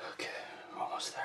Okay, almost there.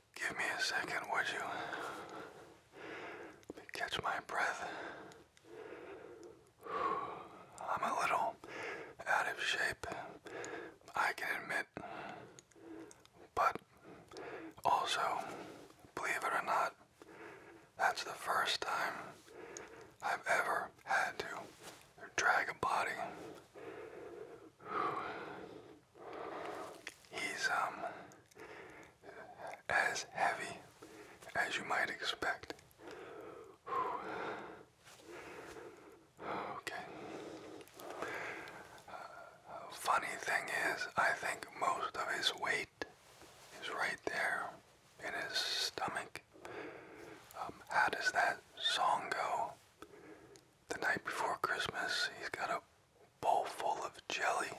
Give me a second, would you? Let me catch my breath. I'm a little out of shape, I can admit. But also, believe it or not, that's the first time I've ever had to drag a body. He's um as heavy as you might expect. Okay. Uh, funny thing is, I think most of his weight is right there in his stomach. Um, how does that song go? The night before Christmas, he's got a bowl full of jelly,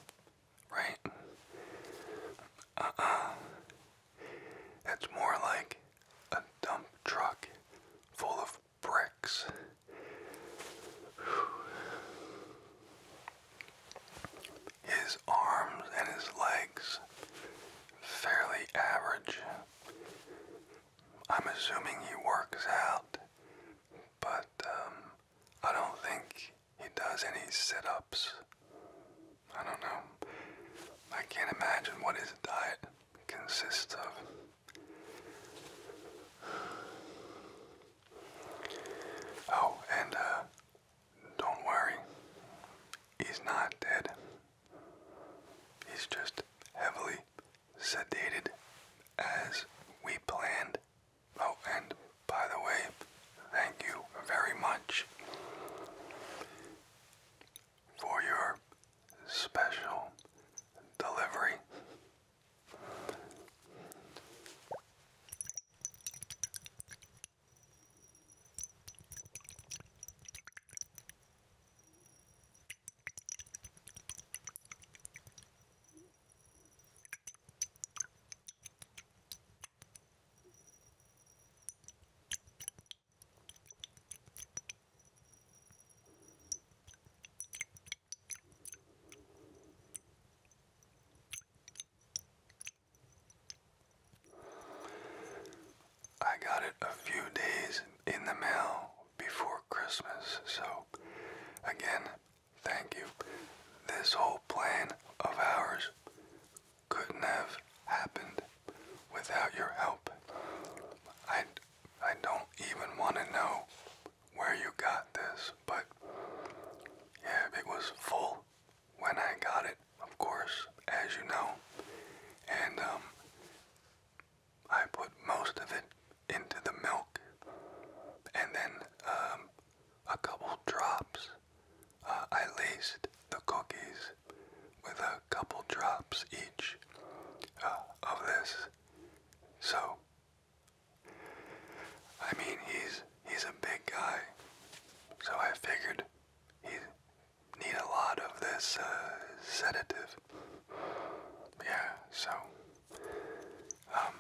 right? Uh uh. It's more like a dump truck full of bricks. His arms and his legs, fairly average. I'm assuming he works out, but um, I don't think he does any sit ups. I don't know. I can't imagine what his diet consists of. Oh, and uh, don't worry, he's not dead. He's just heavily sedated as we planned Oh, and by the way, thank you very much for your special delivery. I got it a few days in the mail before Christmas, so again, Thank you. This whole plan of ours couldn't have happened without your help. I, I don't even want to know where you got this, but yeah, it was full when I got it, of course, as you know. And um, I put most of it into the milk, and then um, a couple drops. Uh, I laced the cookies with a couple drops each uh, of this. So, I mean, he's he's a big guy, so I figured he need a lot of this uh, sedative. Yeah, so um,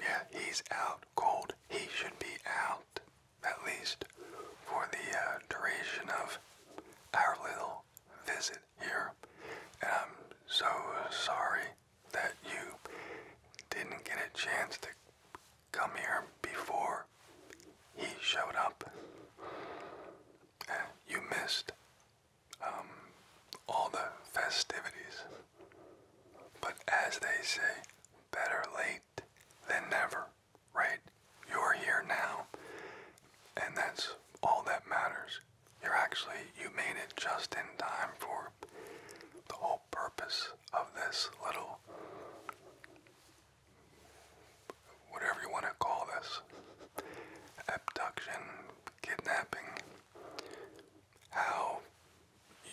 yeah, he's out cold. He should be out, at least, for the uh, duration of our little visit here. And I'm um, so uh, sorry that you didn't get a chance to come here before he showed up. And uh, you missed um, all the festivities. But as they say, better late than never, right? You're here now, and that's all that matters. You're actually, you made it just in time for the whole purpose of this little, whatever you want to call this, abduction, kidnapping, how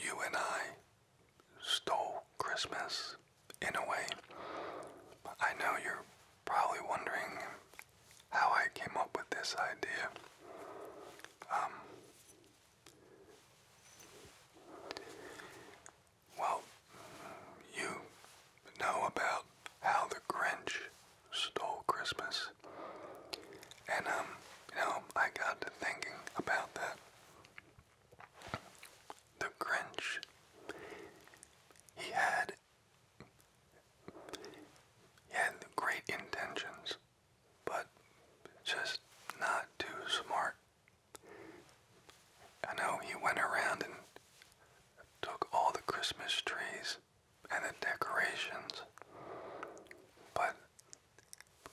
you and I stole Christmas in a way. I know you're probably wondering how I came up with this idea. Um, well, you know about how the Grinch stole Christmas. And, um, you know, I got to thinking about that. The Grinch, he had, he had great intentions, but just not too smart. I know he went around and took all the Christmas trees and the decorations, but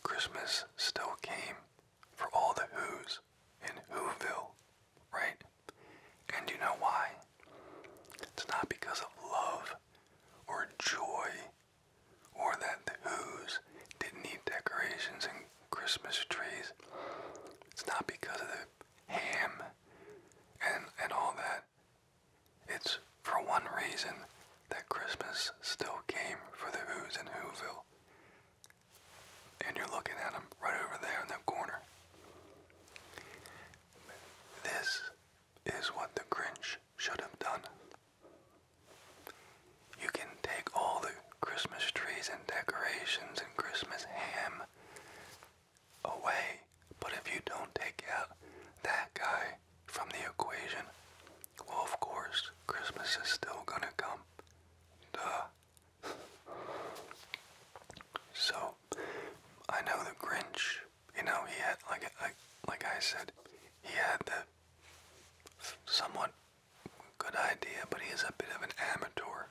Christmas still came for all the Who's in Whoville, right? And you know why? It's not because of love or joy or that the Who's didn't need decorations and Christmas trees. It's not because of the ham and, and all that. It's for one reason that Christmas still came for the Who's in Whoville. And you're looking at him right over there in that corner. This is what the Grinch should have done. You can take all the Christmas trees and decorations and Christmas ham away, but if you don't take out that guy from the equation? Well, of course, Christmas is still gonna come. So, I know the Grinch. You know, he had like like I said, he had the somewhat good idea, but he is a bit of an amateur.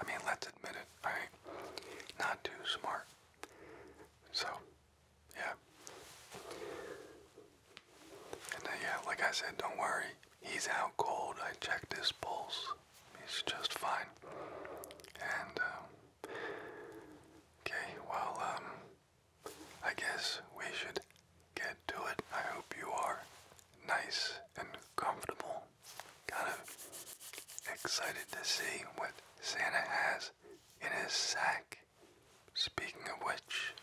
I mean, let's admit it, alright? Not too smart. So, yeah. And uh, yeah, like I said, don't worry. He's out cold. I checked his pulse. He's just fine. And, um, okay, well, um, I guess we should get to it. I hope you are nice and comfortable. Kind of excited to see what Santa has in his sack. Speaking of which,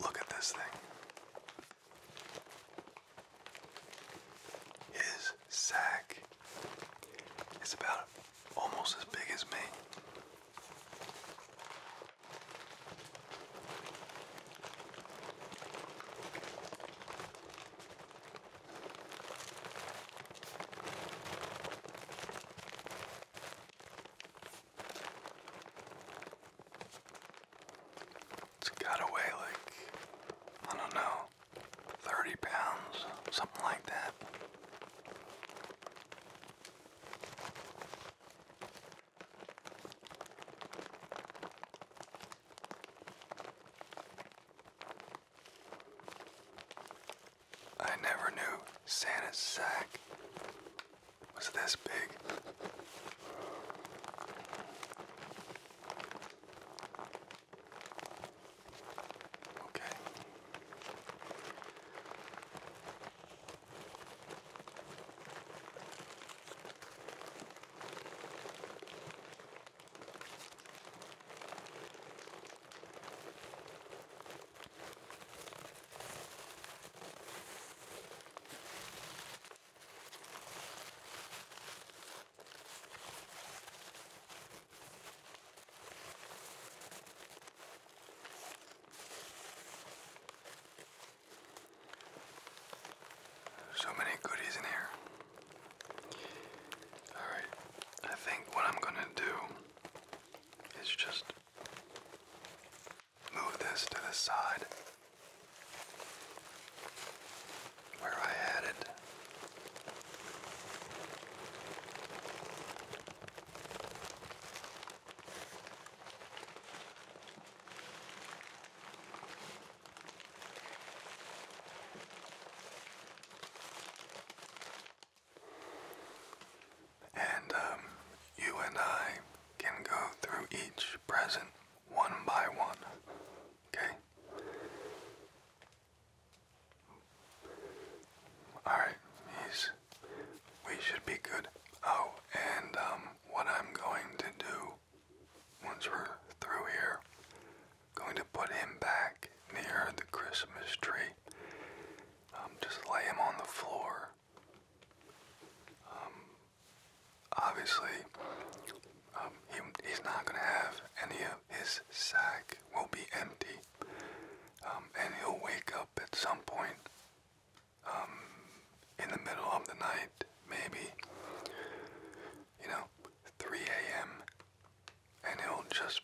Look at this thing. His sack is about almost as big as me. It's got away like, I don't know, 30 pounds, something like that. I never knew Santa's sack was this big. Okay. So many goodies in here. Alright, I think what I'm gonna do is just move this to the side where I had it. And um, you and I can go through each present one by one. Okay? Alright, he's. We should be good. Oh, and um, what I'm going to do once we're through here going to put him back near the Christmas tree. Um, just lay him on the floor. Um, obviously, um, he's not going to have any of his sack will be empty. and he'll wake up at some point in the middle of the night, maybe, you know, 3 a.m and he'll just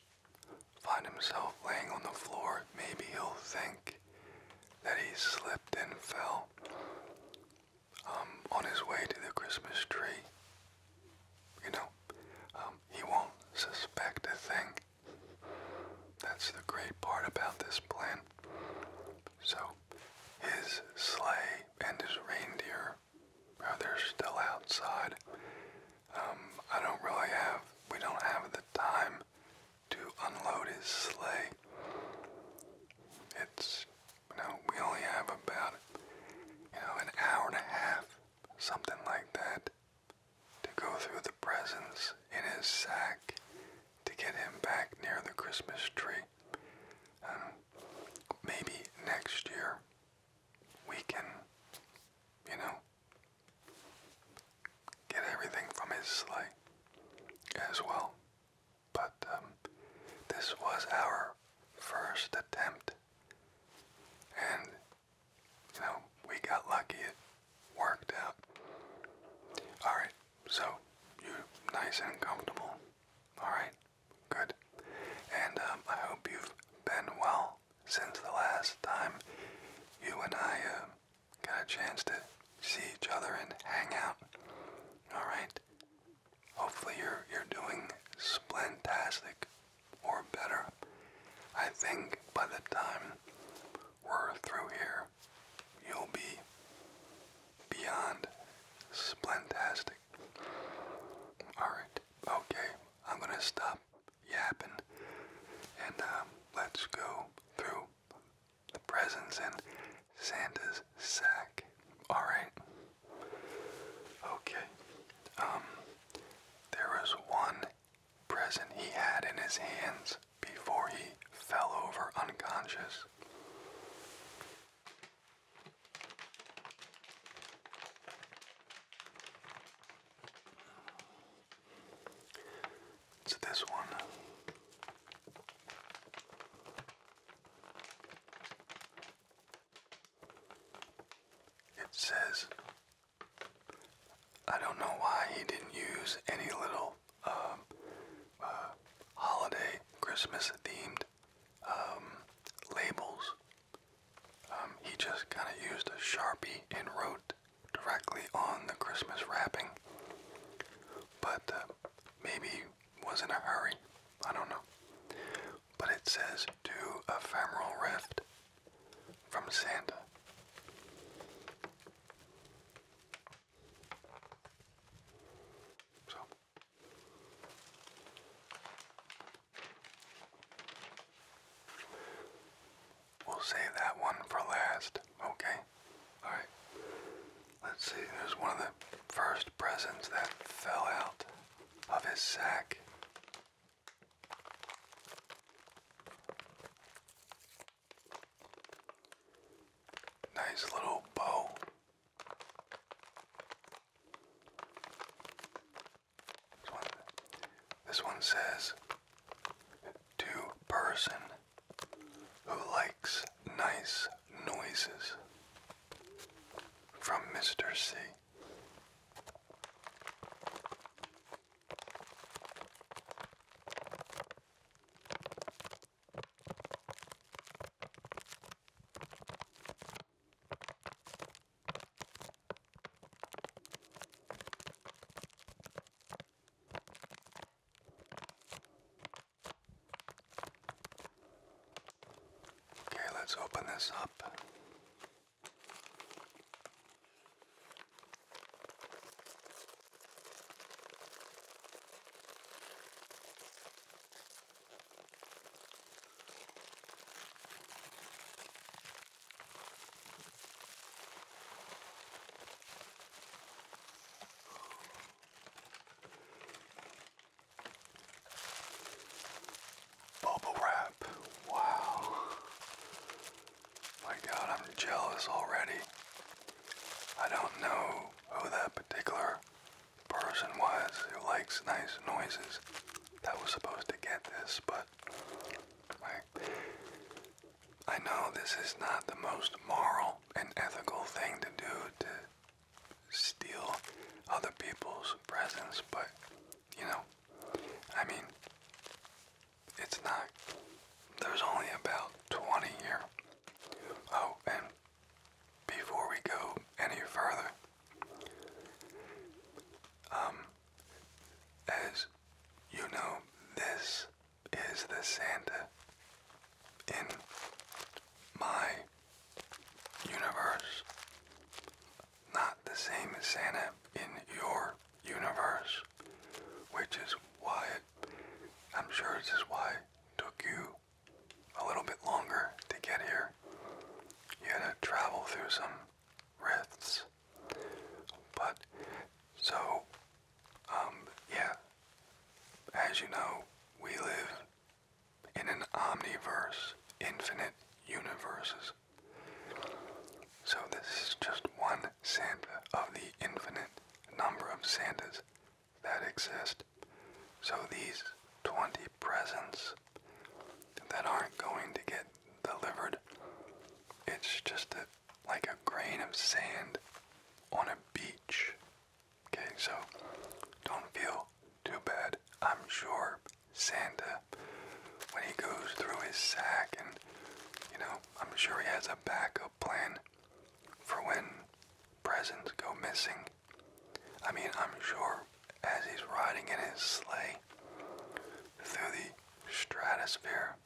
find himself laying on the floor. Maybe he'll think that he slipped and fell um, on his way to the Christmas tree. You know, um, he won't suspect a thing. That's the great part about this plan. So, his sleigh and his reindeer or they're still outside. Um, I don't really have, we don't have the time to unload his sleigh. It's, you know, we only have about, you know, an hour and a half, something like that, to go through the presents in his sack to get him back near the Christmas tree. Um, maybe next year we can, you know, get everything from his sleigh as well. But um, this was our first attempt, and you know, we got lucky. It worked out. All right, so you nice and comfortable. All right. Good. And um, I hope you've been well since the last time you and I uh, got a chance to see each other and hang out. All right. Hopefully you're you're doing splentastic or better. I think by the time we're through here, you'll be beyond splentastic. All right. Okay, I'm gonna stop yapping and um, let's go through the presents in Santa's sack. Alright. Okay. Um, there was one present he had in his hands before he fell over unconscious. So this one it says I don't know why he didn't use any little um, uh, holiday Christmas themed um, labels um, he just kind of used a sharpie and wrote directly on the Christmas wrapping, but uh, maybe was in a hurry. I don't know. But it says to ephemeral rift from Santa. So We'll save that one for last, okay? Alright. Let's see, there's one of the first presents that fell out of his sack. Nice little bow. This one, says to person who likes nice noises from Mr. C. Okay, let's open this up. Bubble wrap. Wow. My God, I'm jealous already. I don't know who that particular person was who likes nice noises that was supposed to get this, but like I know this is not the most moral and ethical thing to do to steal other people's presents, but you know, I mean, it's not. There's only about 20 here. Oh, and before we go any further, um, as you know, this is the Santa in my universe. Not the same as Santa in your universe, which is why I'm sure this is why it took you a little bit longer to get here. You had to travel through some rifts. But so, um, yeah, as you know, we live in an omniverse, infinite universes. So this is just one Santa of the infinite number of Santas that exist. So these 20 presents that aren't going to get delivered. It's just a, like a grain of sand on a beach. Okay, so don't feel too bad. I'm sure Santa, when he goes through his sack, and you know, I'm sure he has a backup plan for when presents go missing. I mean, I'm sure as he's riding in his sleigh through the stratosphere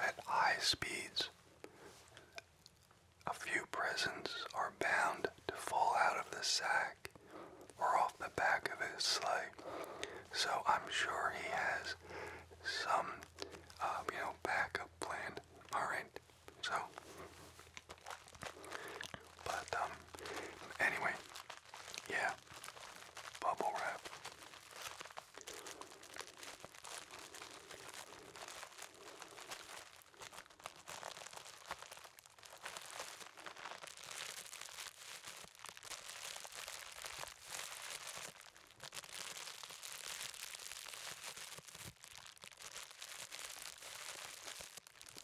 at high speeds. A few presents are bound to fall out of the sack or off the back of his sleigh. So I'm sure he has some, um, you know, backup plan. All right. So, but um, anyway, yeah bubble wrap.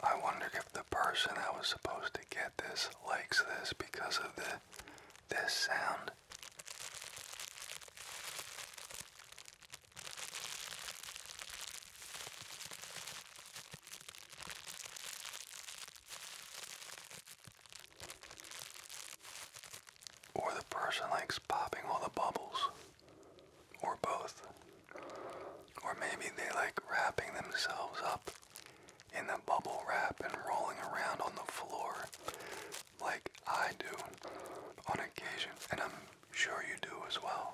I wonder if the the person that was supposed to get this likes this because of the this sound. Or the person likes popping all the bubbles. Or both. Or maybe they like wrapping themselves up in the bubble wrap and rolling around on the floor like I do on occasion, and I'm sure you do as well.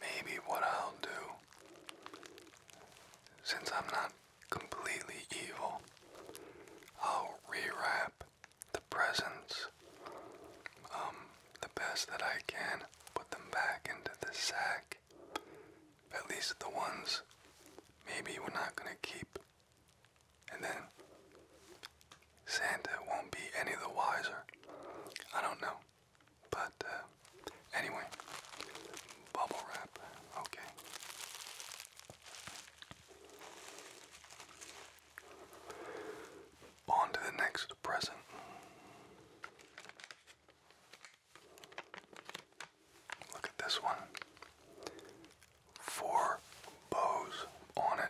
Maybe what I'll do, since I'm not completely evil. I'll rewrap the presents um, the best that I can, put them back into the sack. At least the ones maybe we're not going to keep. And then Santa won't be any the wiser. I don't know. But uh, anyway, bubble wrap. Okay. On to the next present. Look at this one. Four bows on it.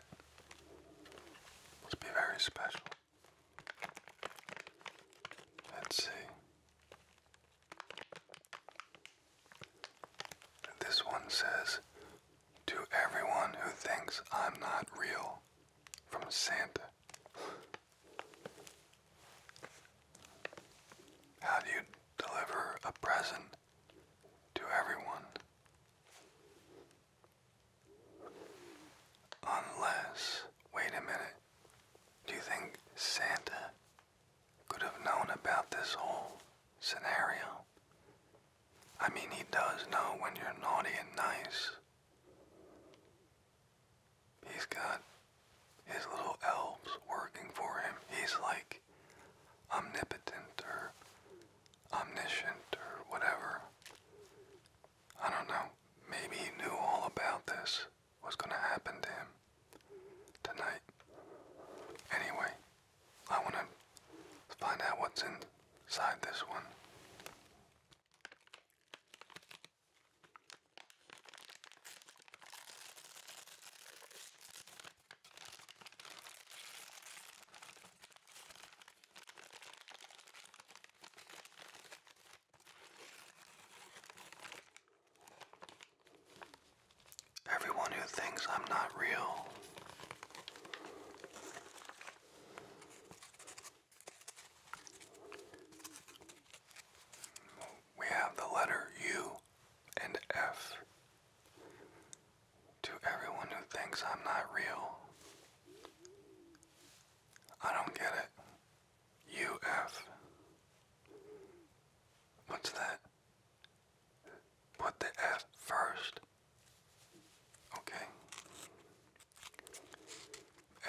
Must be very special. Let's see. This one says, To everyone who thinks I'm not real, from Santa. How do you deliver a present to everyone? Unless, wait a minute, do you think Santa could have known about this whole scenario. I mean, he does know when you're naughty and nice. He's got his little elves working for him. He's like omnipotent or omniscient or whatever. I don't know. Maybe he knew all about this, what's going to happen to him tonight. Anyway, I want to find out what's inside this one. Everyone who thinks I'm not real. We have the letter U and F. To everyone who thinks I'm not real, I don't get it. UF. What's that? Put the F first. Okay.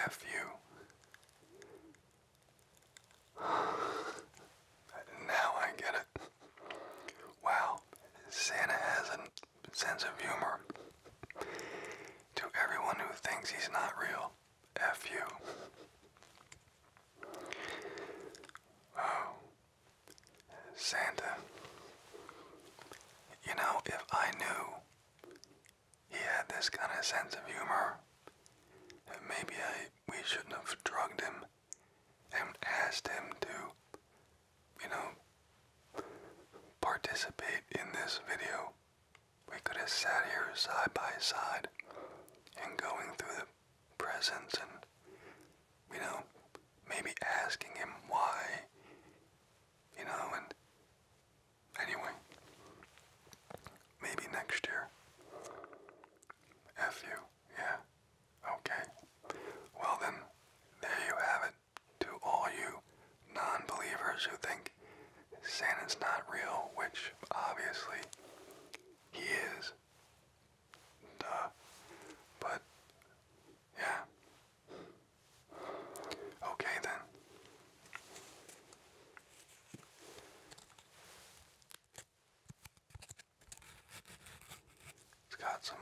F now I get it. Wow, Santa has a sense of humor. To everyone who thinks he's not real, F you. Oh. Santa, you know, if I knew he had this kind of sense of humor, maybe I, we shouldn't have drugged him and asked him to, you know, participate in this video. We could have sat here side by side and going through the presence and, you know, maybe asking him why, you know, and anyway, maybe next year. F you, yeah, okay. Well then, there you have it. To all you non-believers who think Santa's not real, which obviously he is, Duh. But, yeah. Okay then. It's got some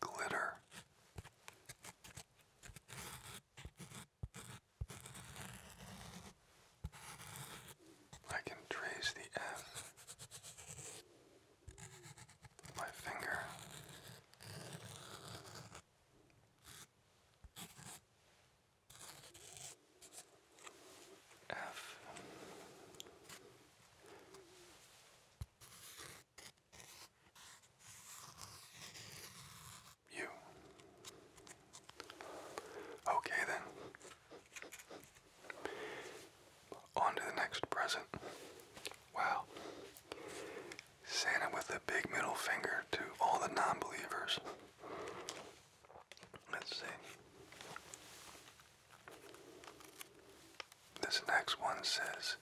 glitter. I can trace the F my finger. F U Okay then. On to the next present. Wow. Santa with a big middle finger to all the non believers. Let's see. This next one says,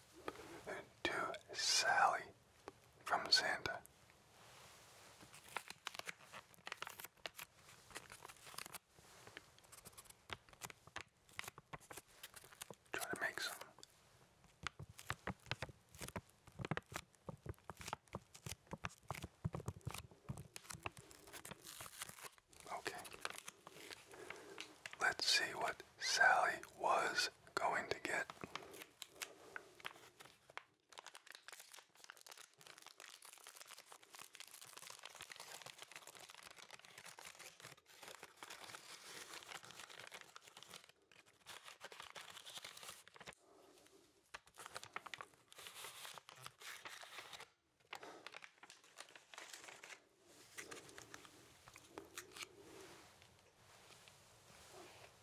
To Sally from Santa. Try to make some Okay. Let's see what Sally was going to get.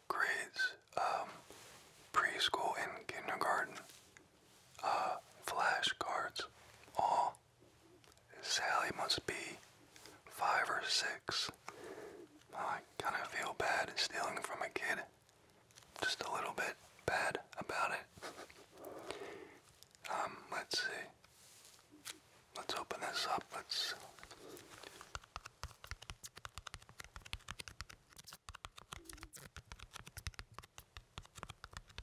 Grades, um, preschool and kindergarten, uh, flashcards, all Sally must be five or six. I kind of feel bad stealing from a kid. Just a little bit bad about it. um, let's see. Let's open this up. Let's.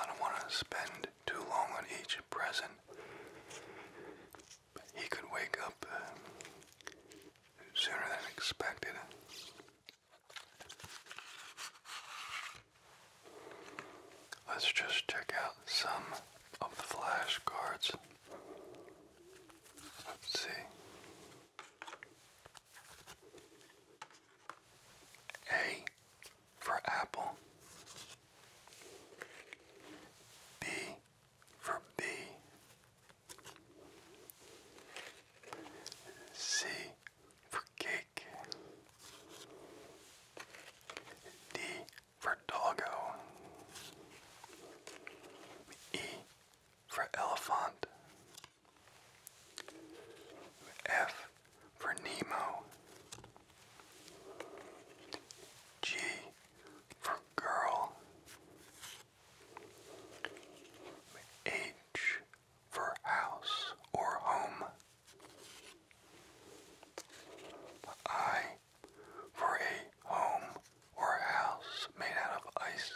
I don't want to spend too long on each present. He could wake up uh, sooner than expected. Let's just check out some of the flashcards. Let's see. A for apple, B for B, C for cake, D for doggo, E for elephant. F for Nemo, G for girl, H for house or home, I for a home or house made out of ice.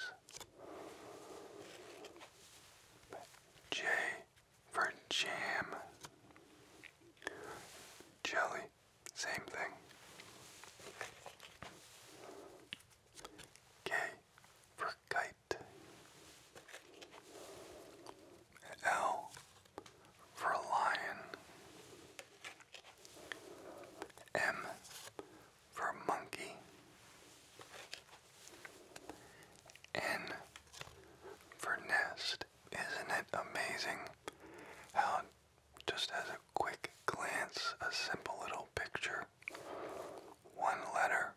J for jam. Jelly, same thing. K for kite. L for lion. M for monkey. N for nest. Isn't it amazing how just as a quick glance, a simple little picture, one letter,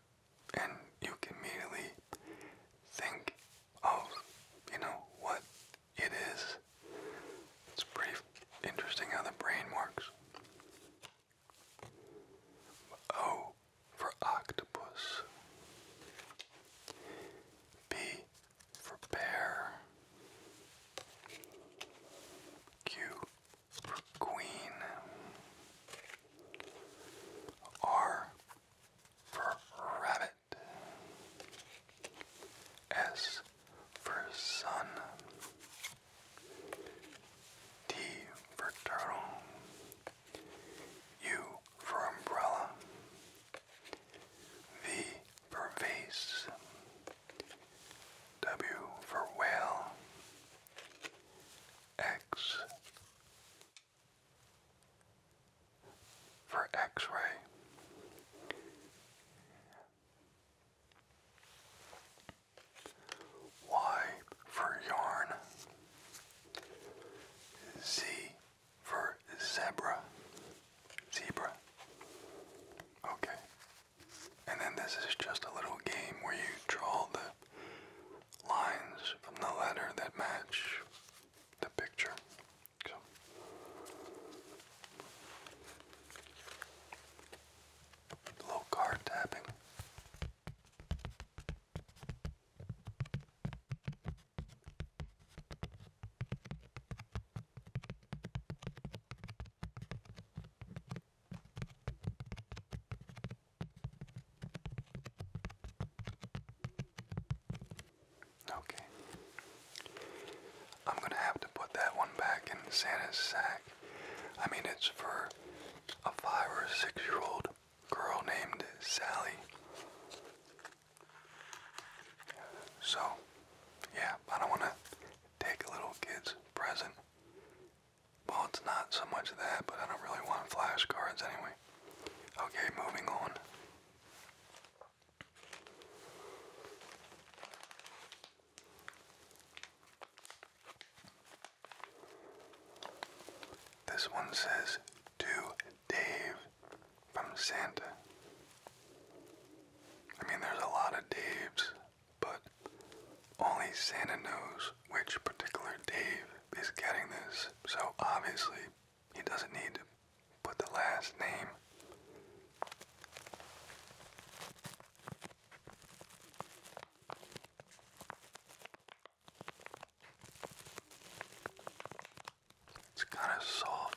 and you can immediately think of, you know, what it is. It's brief. interesting how the brain works. O oh, for octopus, B for bear, Q for queen, R for rabbit, S for sun, T for turtle, U for umbrella. V for vase. W for whale. X for X-ray. Y for yarn. Z for zebra. Zebra. Okay. And then this is just a little game where you draw the lines from the letter that match the picture. So. Low card tapping. Okay. I'm going to have to put that one back in Santa's sack. I mean, it's for a five or six year old girl named Sally. So, yeah, I don't want to take little kid's present. Well, it's not so much that, but I don't really want flashcards anyway. Okay, moving on. This one says, To Dave from Santa. I mean, there's a lot of Daves, but only Santa knows which particular Dave is getting this, so obviously he doesn't need to put the last name. It's kind of soft.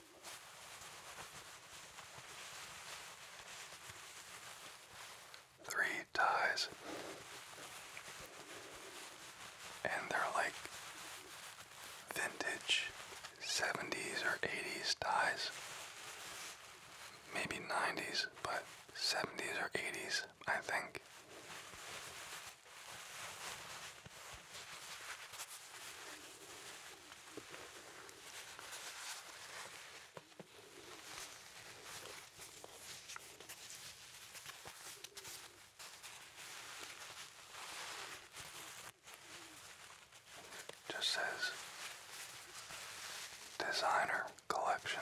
Three ties. And they're like vintage 70s or 80s ties. Maybe 90s, but 70s or 80s, I think. Just says designer collection.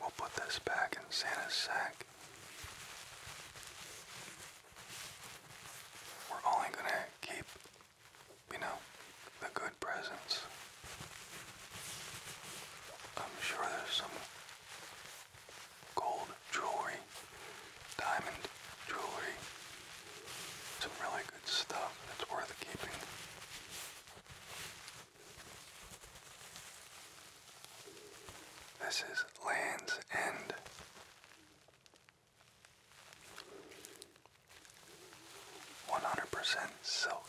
We'll put this back in Santa's sack. We're only going to keep, you know, the good presents. I'm sure there's some gold jewelry, diamond jewelry, some really good stuff that's worth keeping. This is Land's End. One hundred percent silk.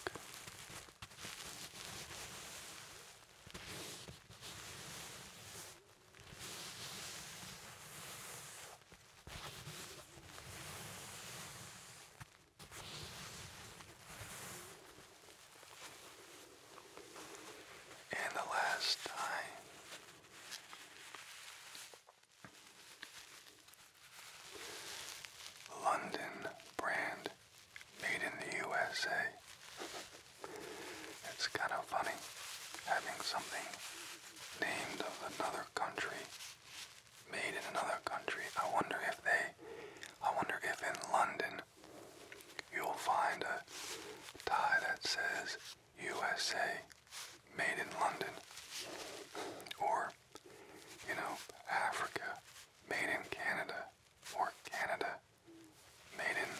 And the last time. London brand made in the USA. It's kind of funny having something named of another country made in another country. I wonder if they, I wonder if in London you'll find a tie that says USA made in London or, you know, Africa made in Canada or Canada made in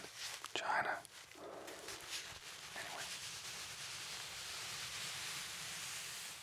China. Anyway.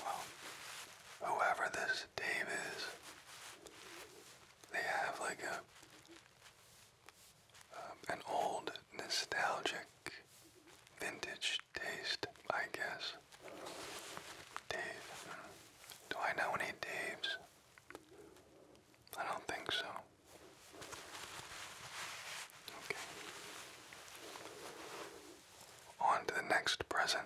Well, whoever this Dave is, they have like a um, an old nostalgic vintage taste, I guess. Dave. Do I know any Daves? I don't think so. Okay. On to the next present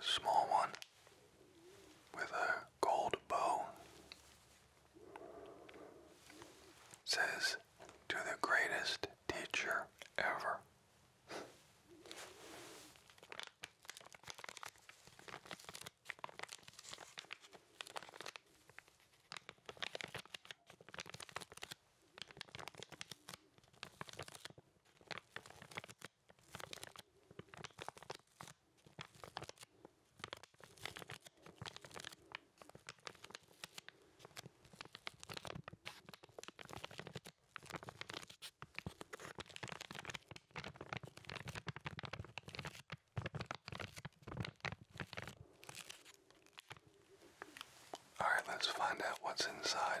small one with a gold bow. says to the greatest teacher ever. All right, let's find out what's inside.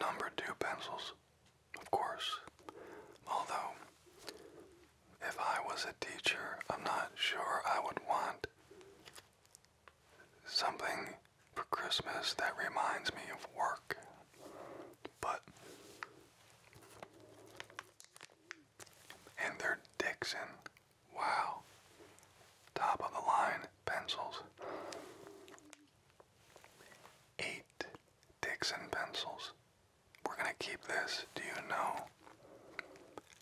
Number two pencils, of course. Although, if I was a teacher, I'm not sure I would want something for Christmas that reminds me of work. But and their Dixon, wow, top of the line pencils. Eight Dixon pencils. We're going to keep this. Do you know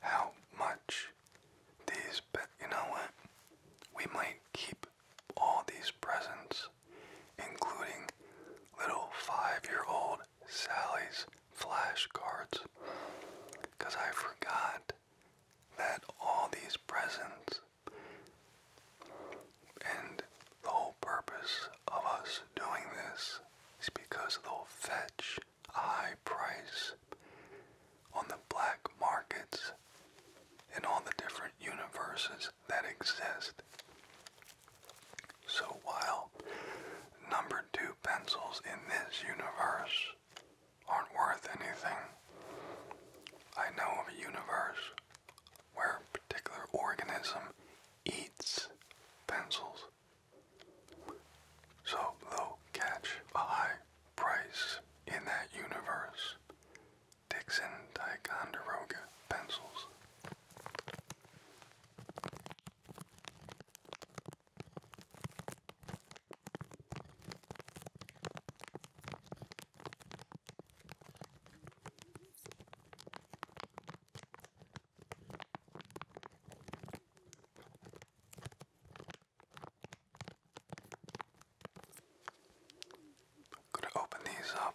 how much these, but you know what? We might keep all these presents, including little five year old Sally's flashcards because I forgot that all these presents and the whole purpose of us doing this is because they'll fetch a high price on the black markets in all the different universes that exist. So while number two pencils in this universe aren't worth anything, I know of a universe where a particular organism eats pencils. So they'll catch a high price in that universe. Dixon Ticonderoga pencils. I'm going to open these up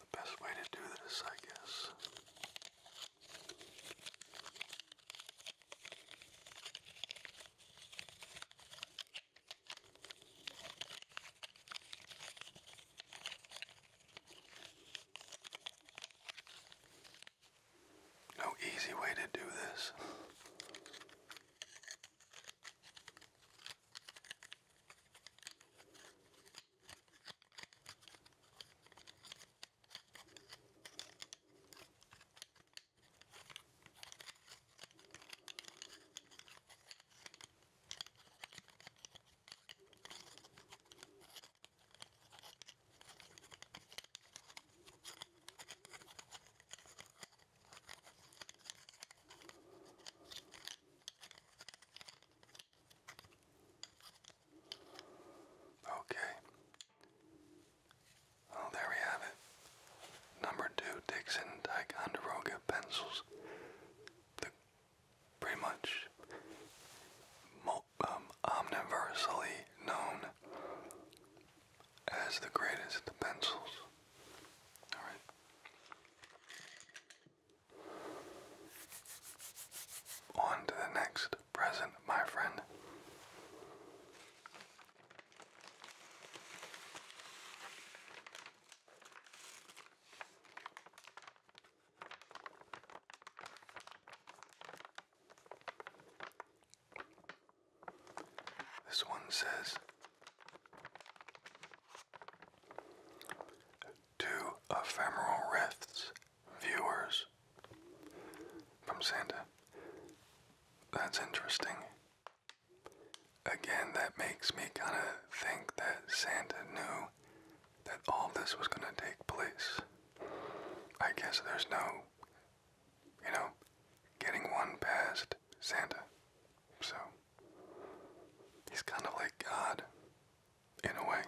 The best way to do this, I guess. No easy way to do this. Okay. Well, there we have it. Number two Dixon and Ticonderoga pencils. The pretty much um, omniversally known as the greatest pencils. All right. On to the next present, my friend. This one says Two Ephemeral Rifts viewers from Santa. That's interesting. Again, that makes me kind of think that Santa knew that all this was going to take place. I guess there's no, you know, getting one past Santa. So, he's kind of like God, in a way.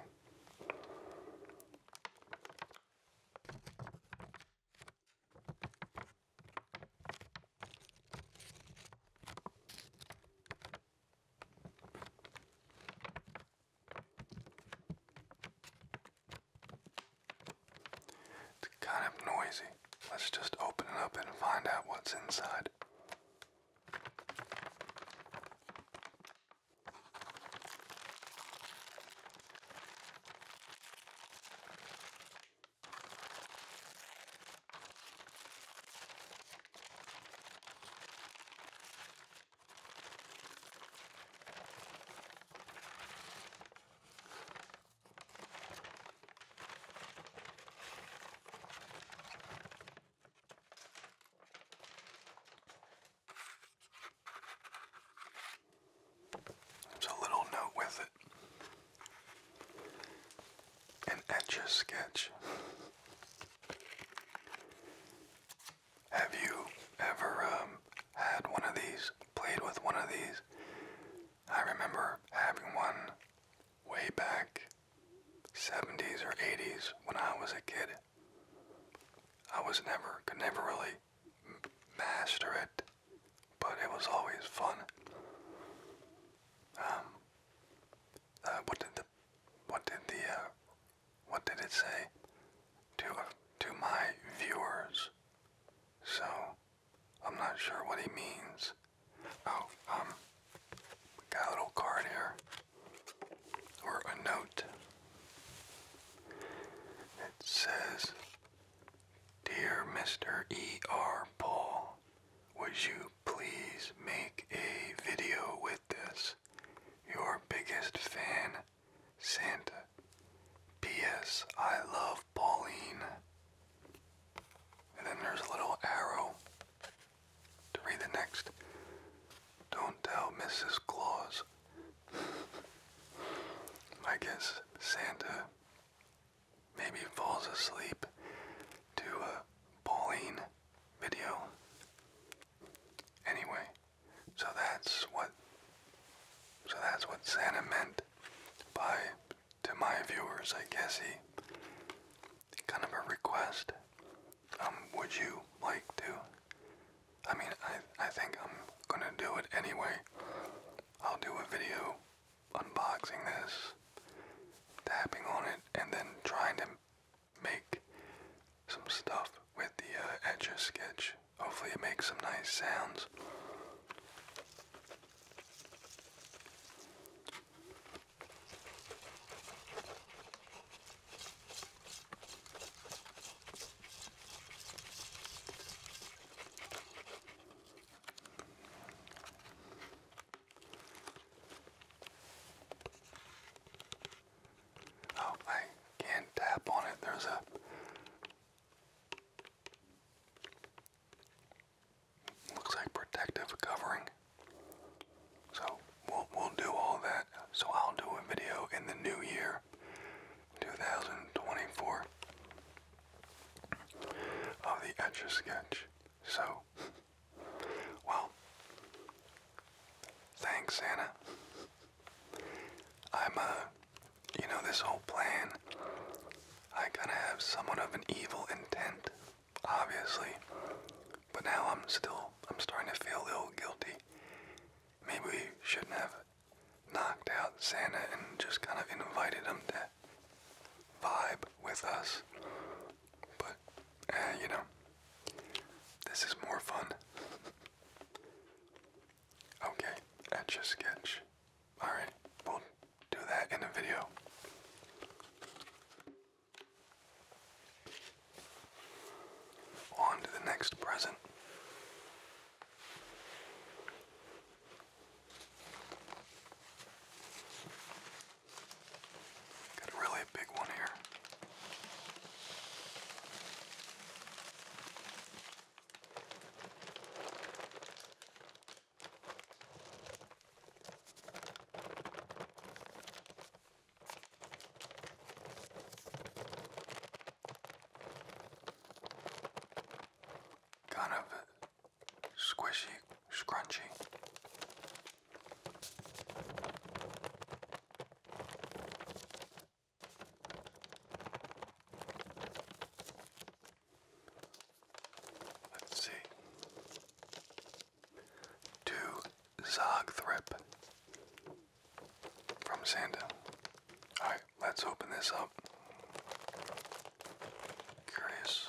It's kind of noisy. Let's just open it up and find out what's inside. There's a little note with it. An etch a sketch. Have you ever um, had one of these, played with one of these? I remember having one way back 70s or 80s when I was a kid. I was never, could never really master it, but it was always fun. Um, uh, what did the, what did the uh, what did it say? To uh, to my viewers. So I'm not sure what he means. Oh, um, got a little card here, or a note. It says, "Dear Mr. E. R. Paul, would you please make a video with this?" Your biggest fan Santa. P.S. I love Pauline. And then there's a little arrow to read the next. Don't tell Mrs. Claus. I guess Santa maybe falls asleep to a Pauline video. Anyway, so that's what so that's what Santa meant by to my viewers, I guess he kind of a request. Um, would you like to? I mean, I I think I'm gonna do it anyway. I'll do a video unboxing this, tapping on it, and then trying to make some stuff with the uh, etcher sketch. Hopefully, it makes some nice sounds. Oh, I can't tap on it. There's a. Looks like protective covering. So we'll, we'll do all that. So I'll do a video in the new year, 2024, of the Etch a Sketch. So, well, thanks, Anna. I'm a, uh, you know, this whole plan, I kind of have somewhat of an evil intent, obviously, but now I'm still, I'm starting to feel a little guilty. Maybe we shouldn't have knocked out Santa and just kind of invited him to vibe with us. But, eh, you know, this is more fun. Okay, etch sketch. Alright, we'll do that in a video. On to the next present. Got a big one here. Kind of squishy, scrunchy. Let's see. To Zogthrip from Sanda. Alright, let's open this up. Curious.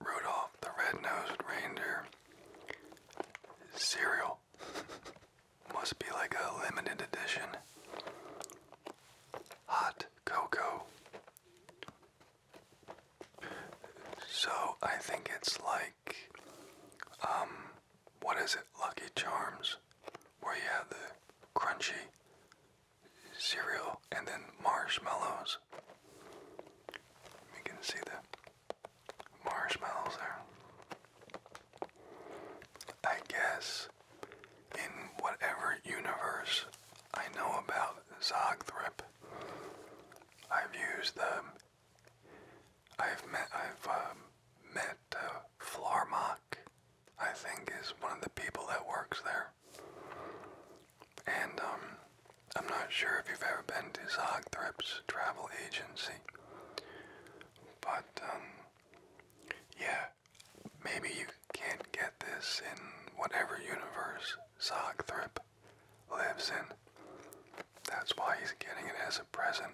Rudolph the Red-Nosed Reindeer cereal must be like a limited edition. Hot cocoa. So I think it's like, um, what is it, Lucky Charms, where you have the crunchy cereal and then marshmallows. You can see the marshmallows there. I guess in whatever universe I know about Zogthrip, I've used them. I've met I've um, met uh, I think, is one of the people that works there. And um, I'm not sure if you've ever been to Zogthripp's travel agency, but um, yeah, maybe you can't get this in whatever universe Zogthrip lives in. That's why he's getting it as a present.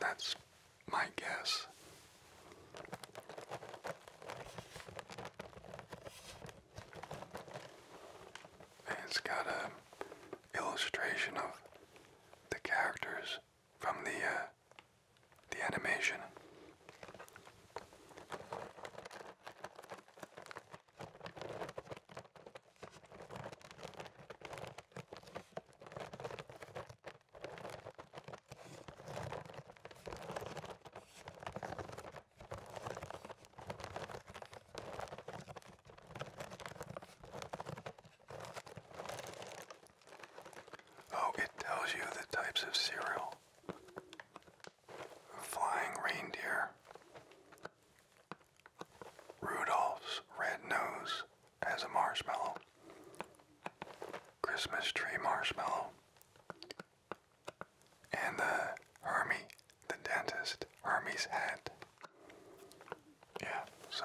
That's my guess. it's got a illustration of the characters from the uh, the animation. Oh, it tells you the types of cereal. Flying reindeer. Rudolph's red nose as a marshmallow. Christmas tree marshmallow. And the army, the dentist, army's head. Yeah, so.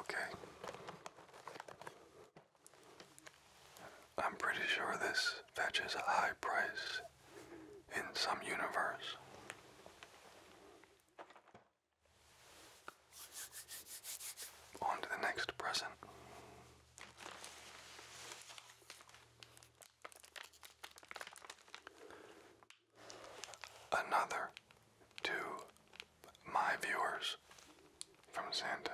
Okay. I'm pretty sure this fetches a high price in some universe. On to the next present. Another to my viewers from Santa.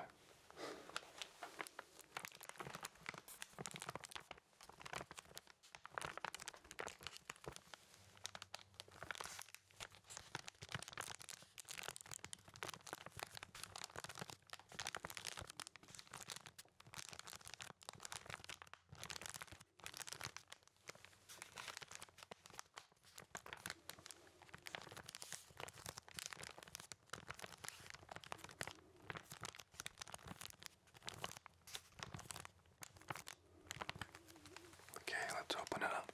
Okay, let's open it up.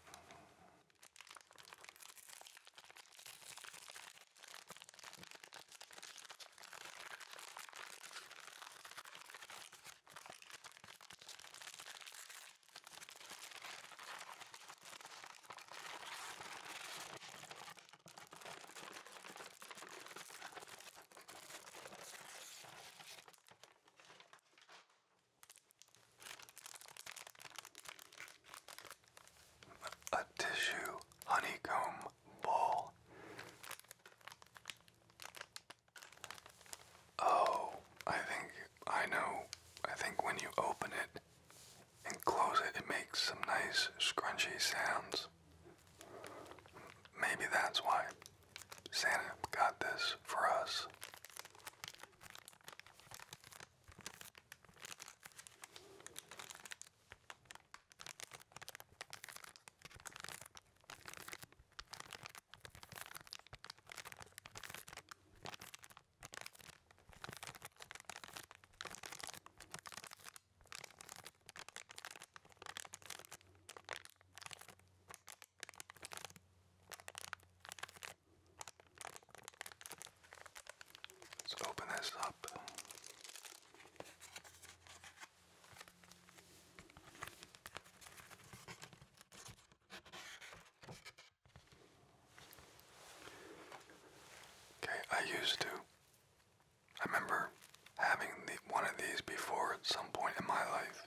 A tissue honeycomb ball Oh, I think I know. I think when you open it and close it, it makes some nice scrunchy sounds. Maybe that's why Santa got this for us. Let's open this up. Okay, I used to. I remember having one of these before at some point in my life.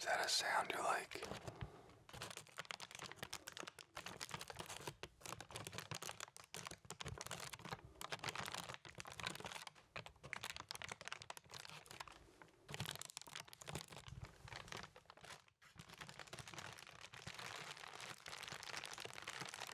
Is that a sound you like?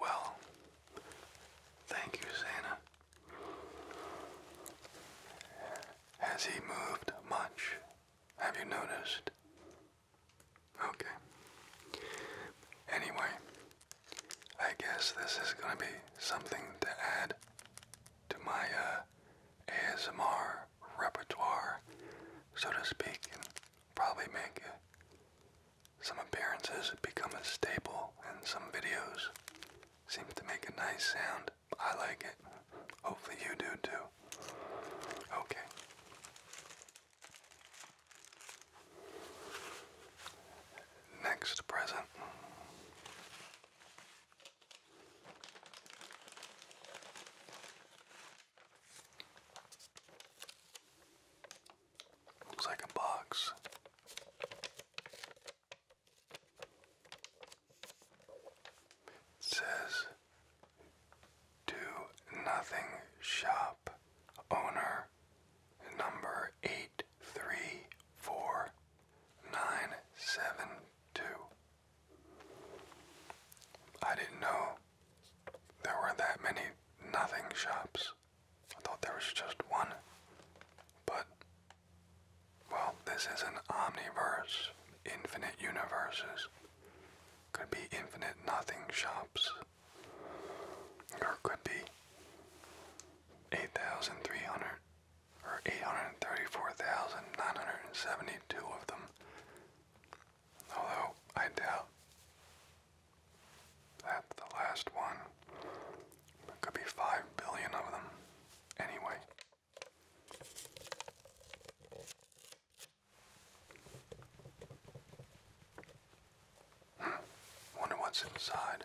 Well, thank you, Santa. Has he moved much have you noticed? Okay. Anyway, I guess this is going to be something to add to my uh, ASMR repertoire, so to speak, and probably make uh, some appearances become a staple in some videos. Seems to make a nice sound. I like it. Hopefully you do too. Okay. Next present. Looks like a box. It says do Nothing Shop Owner Number 834972. I didn't know there were that many nothing shops. I thought there was just one. But, well, this is an omniverse, infinite universes. Could be infinite nothing shops. Or could be 8,300 or 834,972 of them. Although I doubt that's the last one. There could be 5 billion of them. Anyway. Hmm. Wonder what's inside.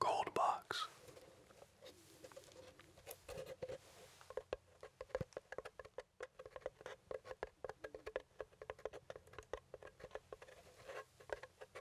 Gold box.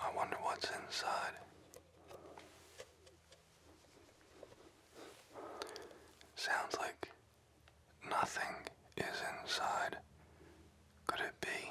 I wonder what's inside. Sounds like nothing is inside. Could it be?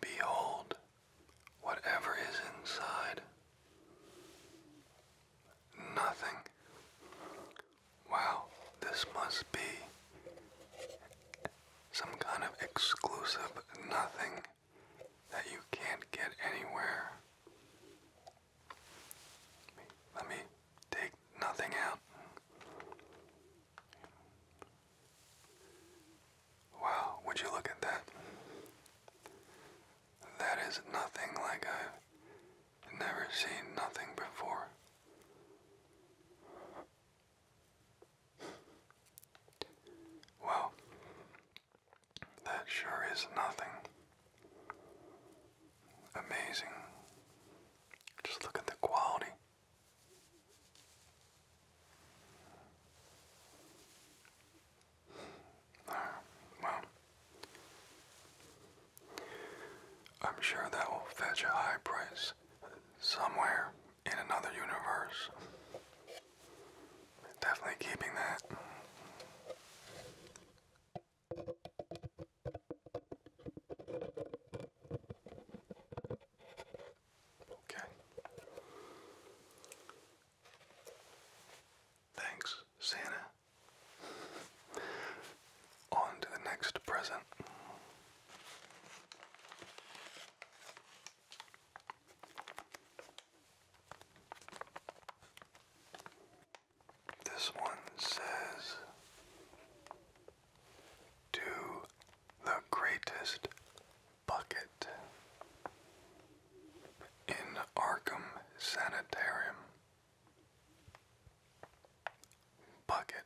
Behold, whatever is inside, nothing. Wow, this must be some kind of exclusive nothing that you can't get anywhere. Let me take nothing out. Wow, would you look at that? That is nothing like I've never seen nothing before. Well, that sure is nothing. Amazing. Just look at the quality well, I'm sure that will fetch a high price somewhere in another universe. Definitely keeping that. Okay. Thanks, Santa. On to the next present. This one says to the greatest bucket in Arkham Sanitarium. Bucket.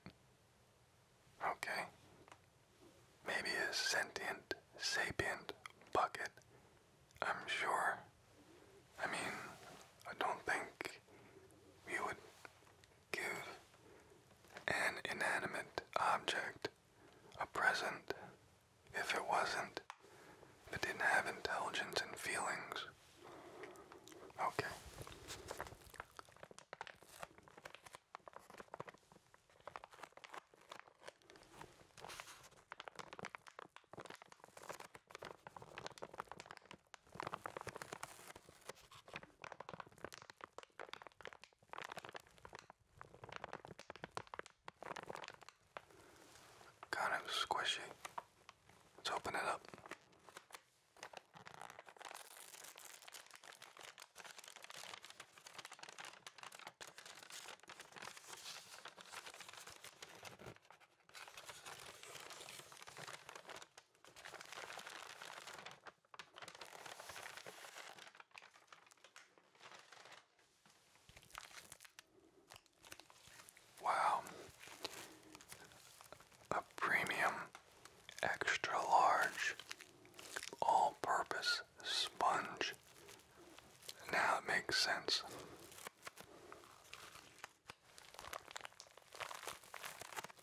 Okay. Maybe a sentient, sapient bucket. I'm sure. I mean, I don't think we would Give an inanimate object a present if it wasn't, if it didn't have intelligence and feelings. Okay. Kind of squishy. Let's open it up. Wow. A premium, extra large, all purpose sponge. Now it makes sense.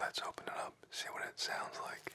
Let's open it up, see what it sounds like.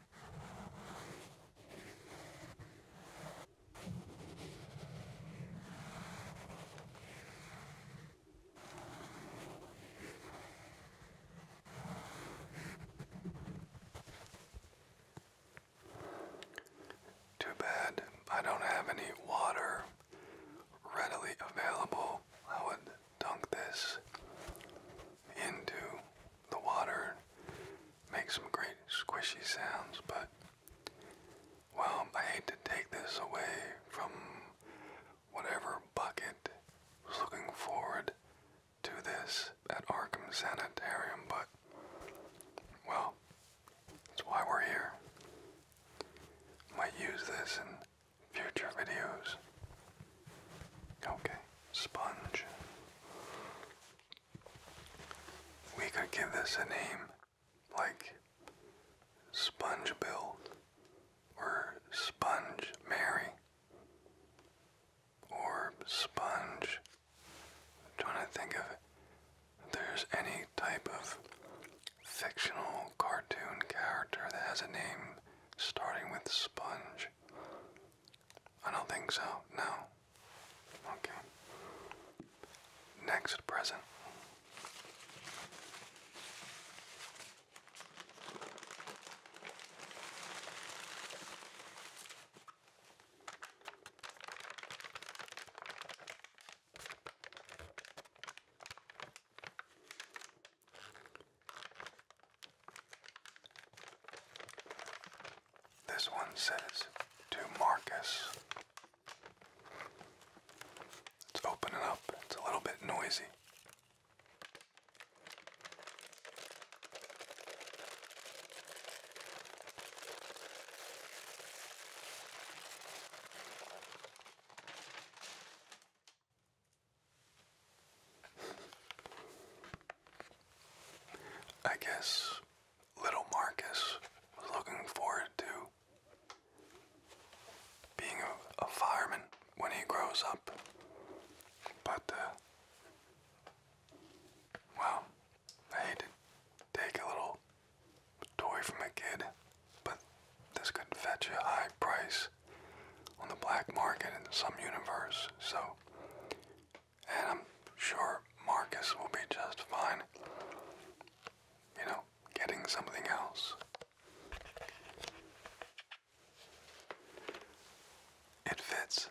Too bad I don't have any water readily available. I would dunk this into the water makes some great squishy sounds, but well, I hate to take this away from whatever bucket was looking forward to this at Arkham Sanitarium, but well, that's why we're here. Might use this in future videos. Okay, sponge. We could give this a name like Sponge Build or Sponge Mary or Sponge. I'm trying to think of if there's any type of fictional cartoon character that has a name starting with sponge. I don't think so. No. Okay. Next present. This one says to Marcus. Let's up. It's a little bit noisy. I guess little Marcus was looking forward to being a, fireman when he grows up. But, uh, I hate to take a little toy from a kid, but this could fetch a high price on the black market in some universe. So, and I'm sure Marcus will be just fine, you know, getting something else. It fits.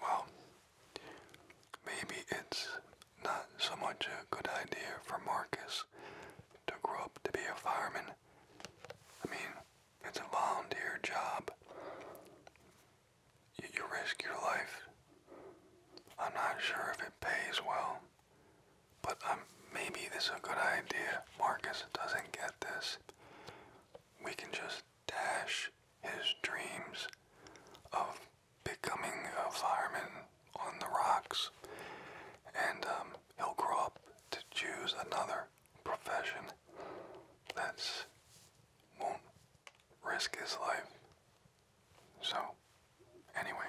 Well, maybe it's not so much a good idea for Marcus to grow up to be a fireman. I mean, it's a volunteer job. You, you risk your life. I'm not sure if it pays well. But um, maybe this is a good idea. Marcus doesn't get this. We can just dash his dreams of becoming a fireman on the rocks, and um, he'll grow up to choose another profession that's won't risk his life. So, anyway.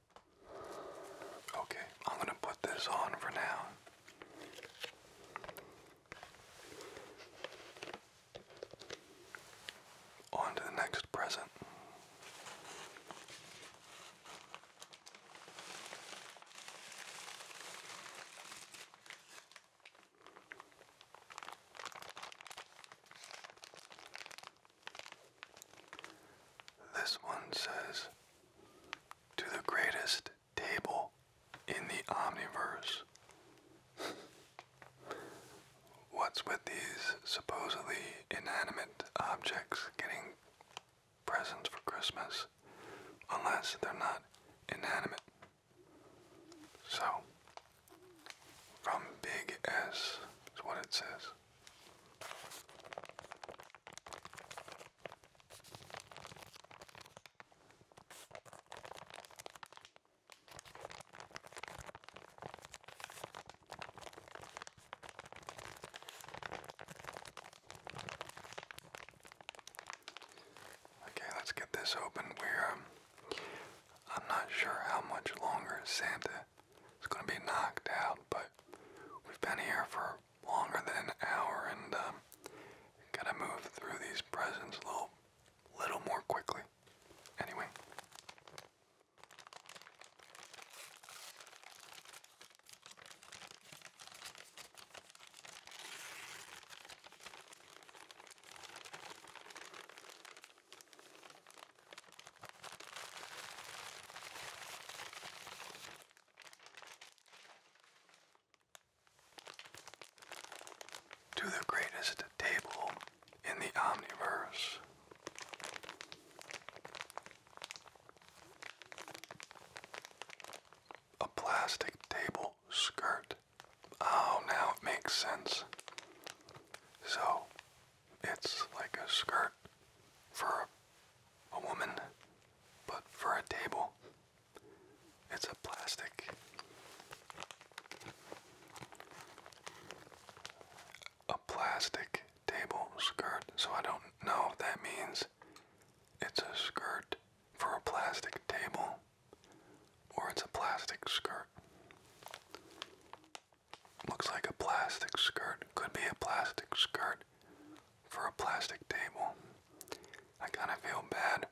Okay, I'm gonna put this on for now. On to the next present. This one says, to the greatest table in the omniverse. What's with these supposedly inanimate objects getting presents for Christmas? Unless they're not inanimate. So, from Big S is what it says. Okay, let's get this open. We're, um, I'm not sure how much longer Santa it's gonna be knocked out, but we've been here for longer than an hour and um, gotta move through these presents a little, little more quickly. Anyway. To the greatest table in the omniverse. A plastic table skirt. Oh, now it makes sense. So, it's like a skirt for a, woman, but for a table. It's a plastic. A plastic table skirt, so I don't know if that means it's a skirt for a plastic table or it's a plastic skirt. Looks like a plastic skirt. Could be a plastic skirt for a plastic table. I kind of feel bad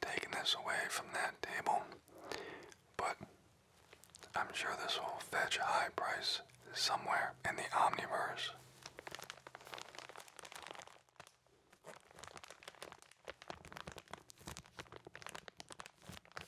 taking this away from that table, but I'm sure this will fetch a high price somewhere in the omniverse.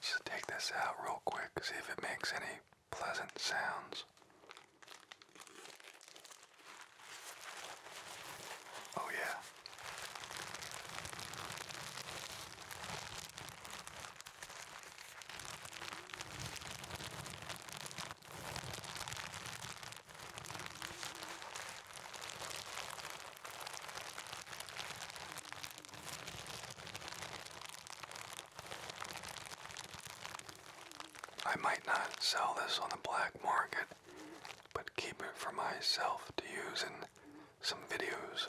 Just take this out real quick, see if it makes any pleasant sounds. Oh, yeah. I might not sell this on the black market, but keep it for myself to use in some videos.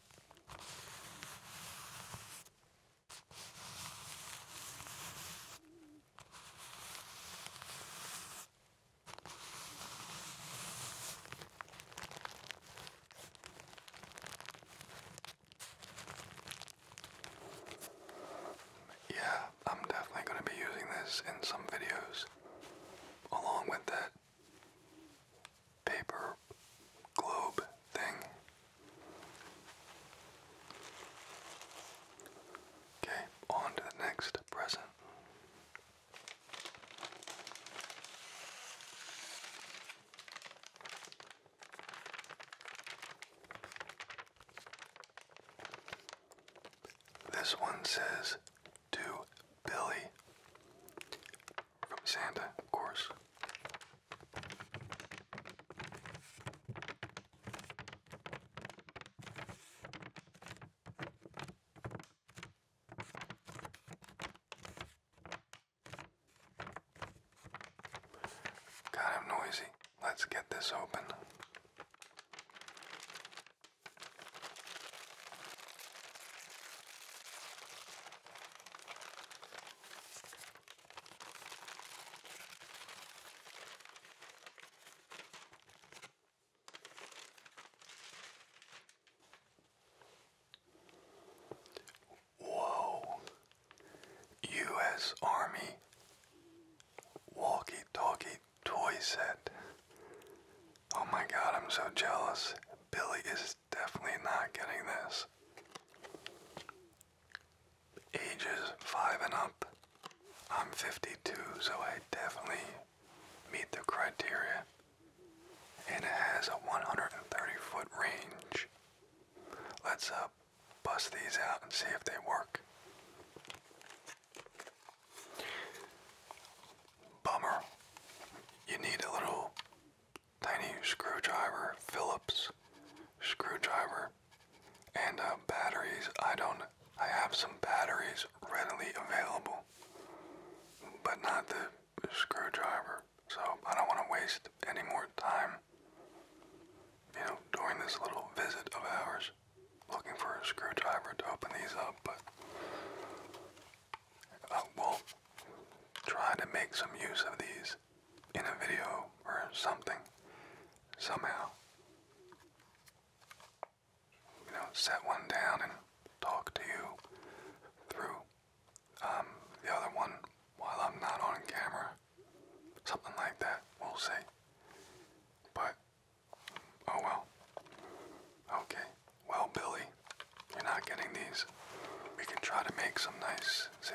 Yeah, I'm definitely going to be using this in some videos along with that paper globe thing. Okay, on to the next present. This one says to Billy. From Santa, of course. Kind of noisy. Let's get this open. Whoa, U.S. Army walkie-talkie toy set. Oh my god, I'm so jealous. Billy is is definitely not getting this. Ages 5 and up. I'm 52, so I definitely meet the criteria. And it has a 130 foot range. Let's uh, bust these out and see if they work. Bummer. You need a little tiny screwdriver, Phillips screwdriver, and uh, batteries. I don't. I have some batteries readily available, but not the screwdriver. So I don't want to waste any more time. You know, during this little visit of ours, looking for a screwdriver to open these up, but I will try to make some use of these in a video or something, somehow. You know, set one down and talk to you through um, the other one while I'm not on camera. Something like that, we'll see. But, oh well. Okay. Well, Billy, you're not getting these. We can try to make some nice, see?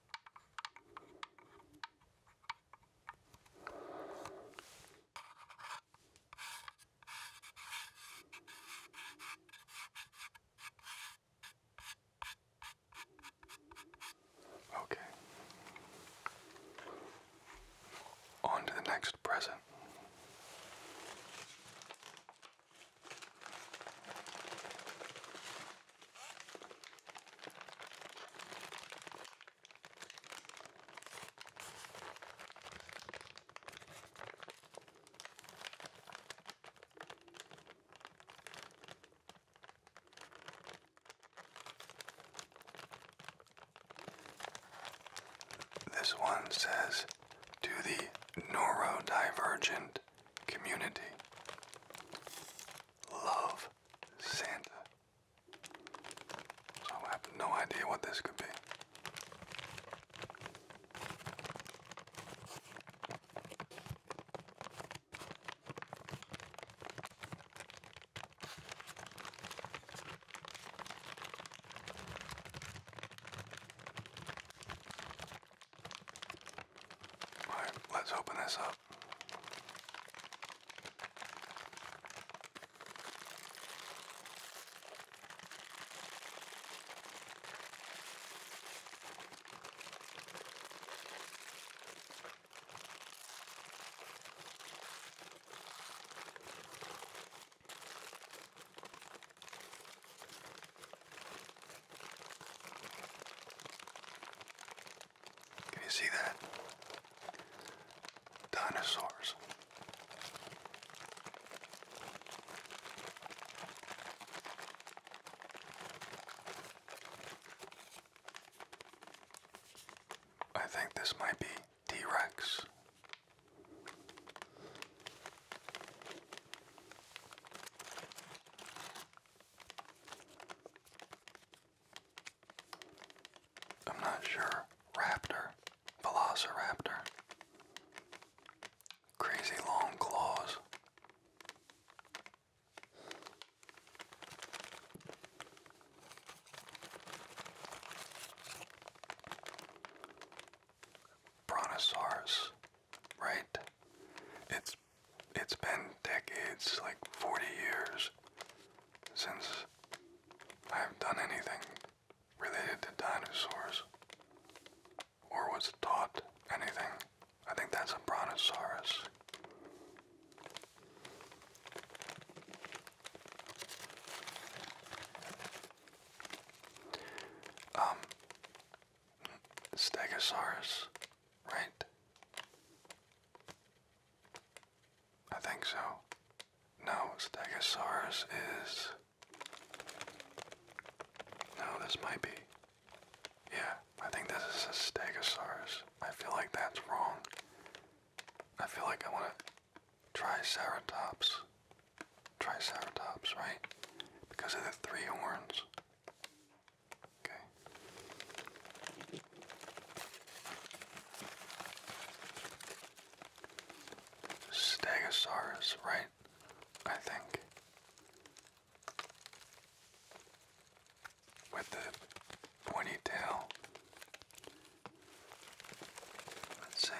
Okay. On to the next present. This one says to the neurodivergent community love Santa. So I have no idea what this could be. Alright, let's open this up. Can you see that? Dinosaurs. I think this might be T Rex. I'm not sure. Raptor. Velociraptor. Crazy long claws. Brontosaurus, right? It's it's been decades, like 40 years, since I've done anything related to dinosaurs or was taught anything. I think that's a brontosaurus. Um, Stegosaurus, right? I think so. No, Stegosaurus is. No, this might be. Yeah, I think this is a Stegosaurus. I feel like that's wrong. I feel like I want to Triceratops. Triceratops, right? Because of the three horns. Okay. Stegosaurus, right? I think. With the pointy tail. Let's see.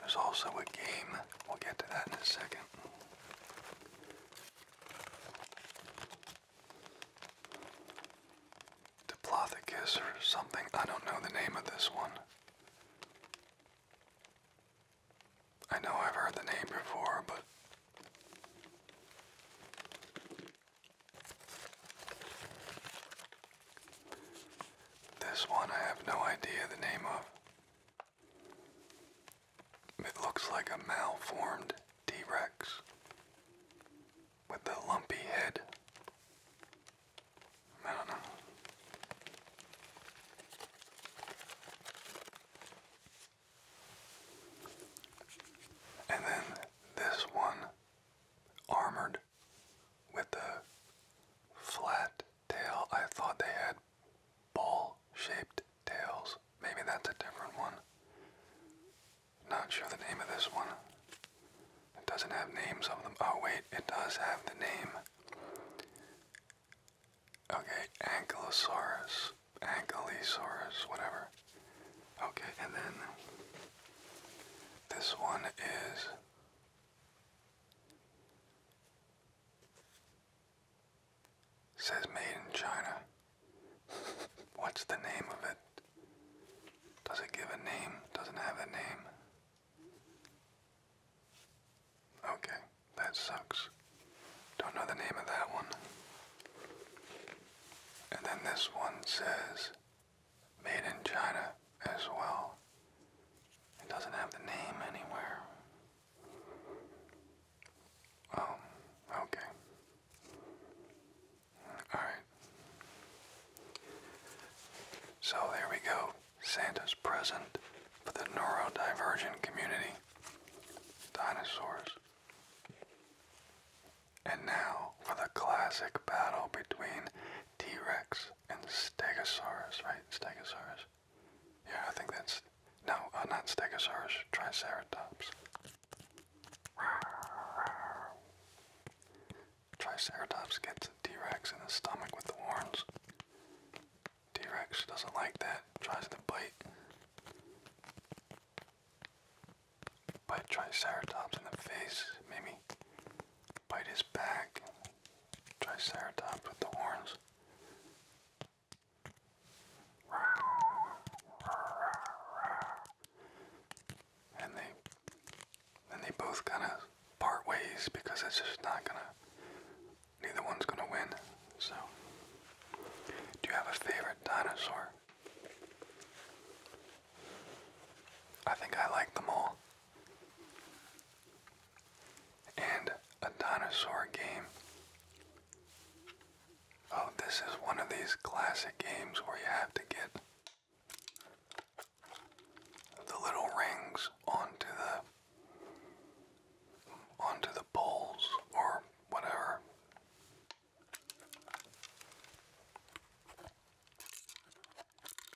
There's also a game, we'll get to that in a second. Diplothecus or something, I don't know the name of this one. I know I've heard the name before, but this one I have no idea the name of. It looks like a malformed T Rex with a lumpy head. I don't know. And then this one, armored with a flat tail. I thought they had ball shaped tails. Maybe that's a different one. Not sure the name of this one. It doesn't have names of them. Oh, wait, it does have the name. Okay, Ankylosaurus. Ankylosaurus, whatever. Okay, and then this one is Says made in China. What's the name of it? Does it give a name? Doesn't have a name. Okay, that sucks. Don't know the name of that one. And then this one says made in China as well. It doesn't have the name anywhere. Um, okay. Alright. So there we go. Santa's present for the neurodivergent community. Dinosaurs. And now for the classic battle between T-Rex and Stegosaurus, right? Stegosaurus. Yeah, I think that's now. uh, not Stegosaurus, Triceratops. Triceratops gets a T-Rex in the stomach with the horns. T-Rex doesn't like that, tries to bite. Bite Triceratops in the face, maybe bite his back. Triceratops with the horns. And they and they both kind of part ways because it's just not gonna neither one's gonna win. So do you have a favorite dinosaur? I think I like them all and a dinosaur game. Oh, this is one of these classic games where you have to get the little rings onto the onto the poles or whatever.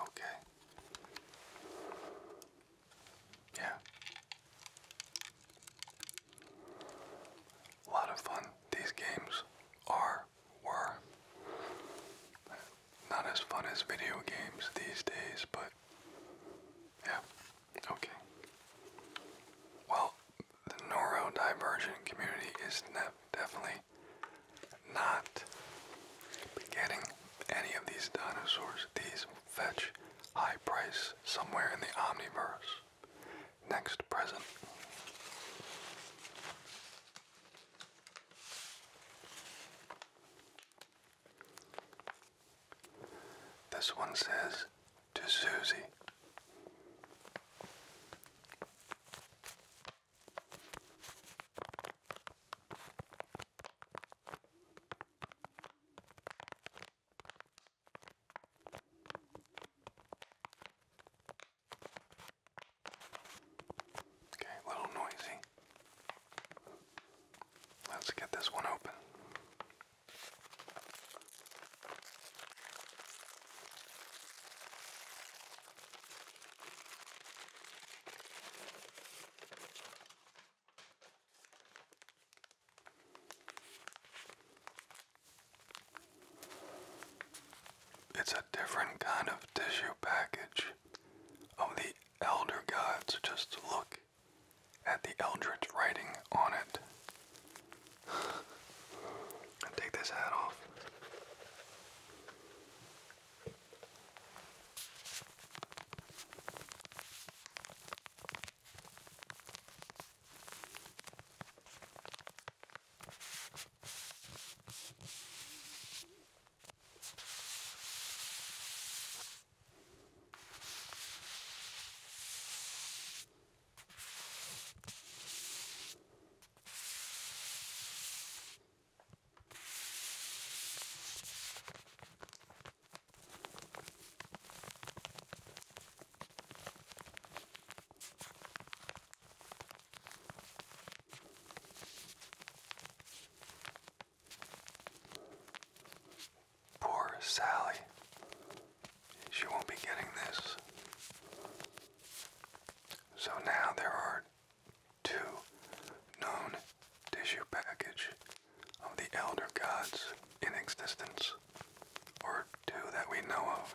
Okay. Yeah. A lot of fun. These games are, were, not as fun as video games these days, but yeah. Okay. Well, the neurodivergent community is definitely not getting any of these dinosaurs. These fetch high price somewhere in the omniverse. Next present. This one says to Susie. Okay, a little noisy. Let's get this one open. It's a different kind of tissue package of oh, the Elder Gods. Just look at the Eldritch writing on it and take this hat off. Poor Sally. She won't be getting this. So now there are two known tissue package of the elder gods in existence, or two that we know of.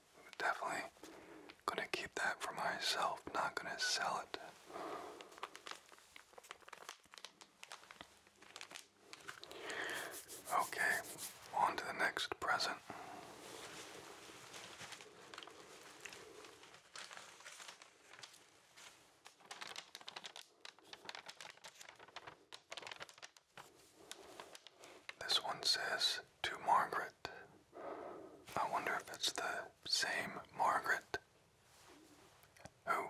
definitely gonna keep that for myself, not gonna sell it. Okay, on to the next present. This one says to Margaret. I wonder if it's the same Margaret who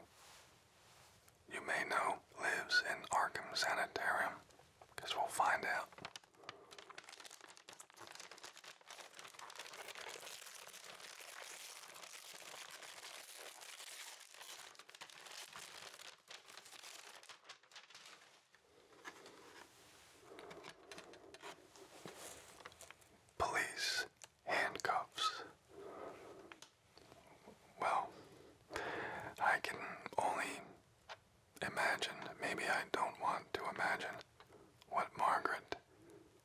you may know lives in Arkham Sanitarium. because we'll find out. Police handcuffs. Well, I can only imagine, maybe I don't want to imagine what Margaret,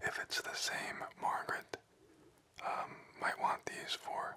if it's the same Margaret, um, might want these for.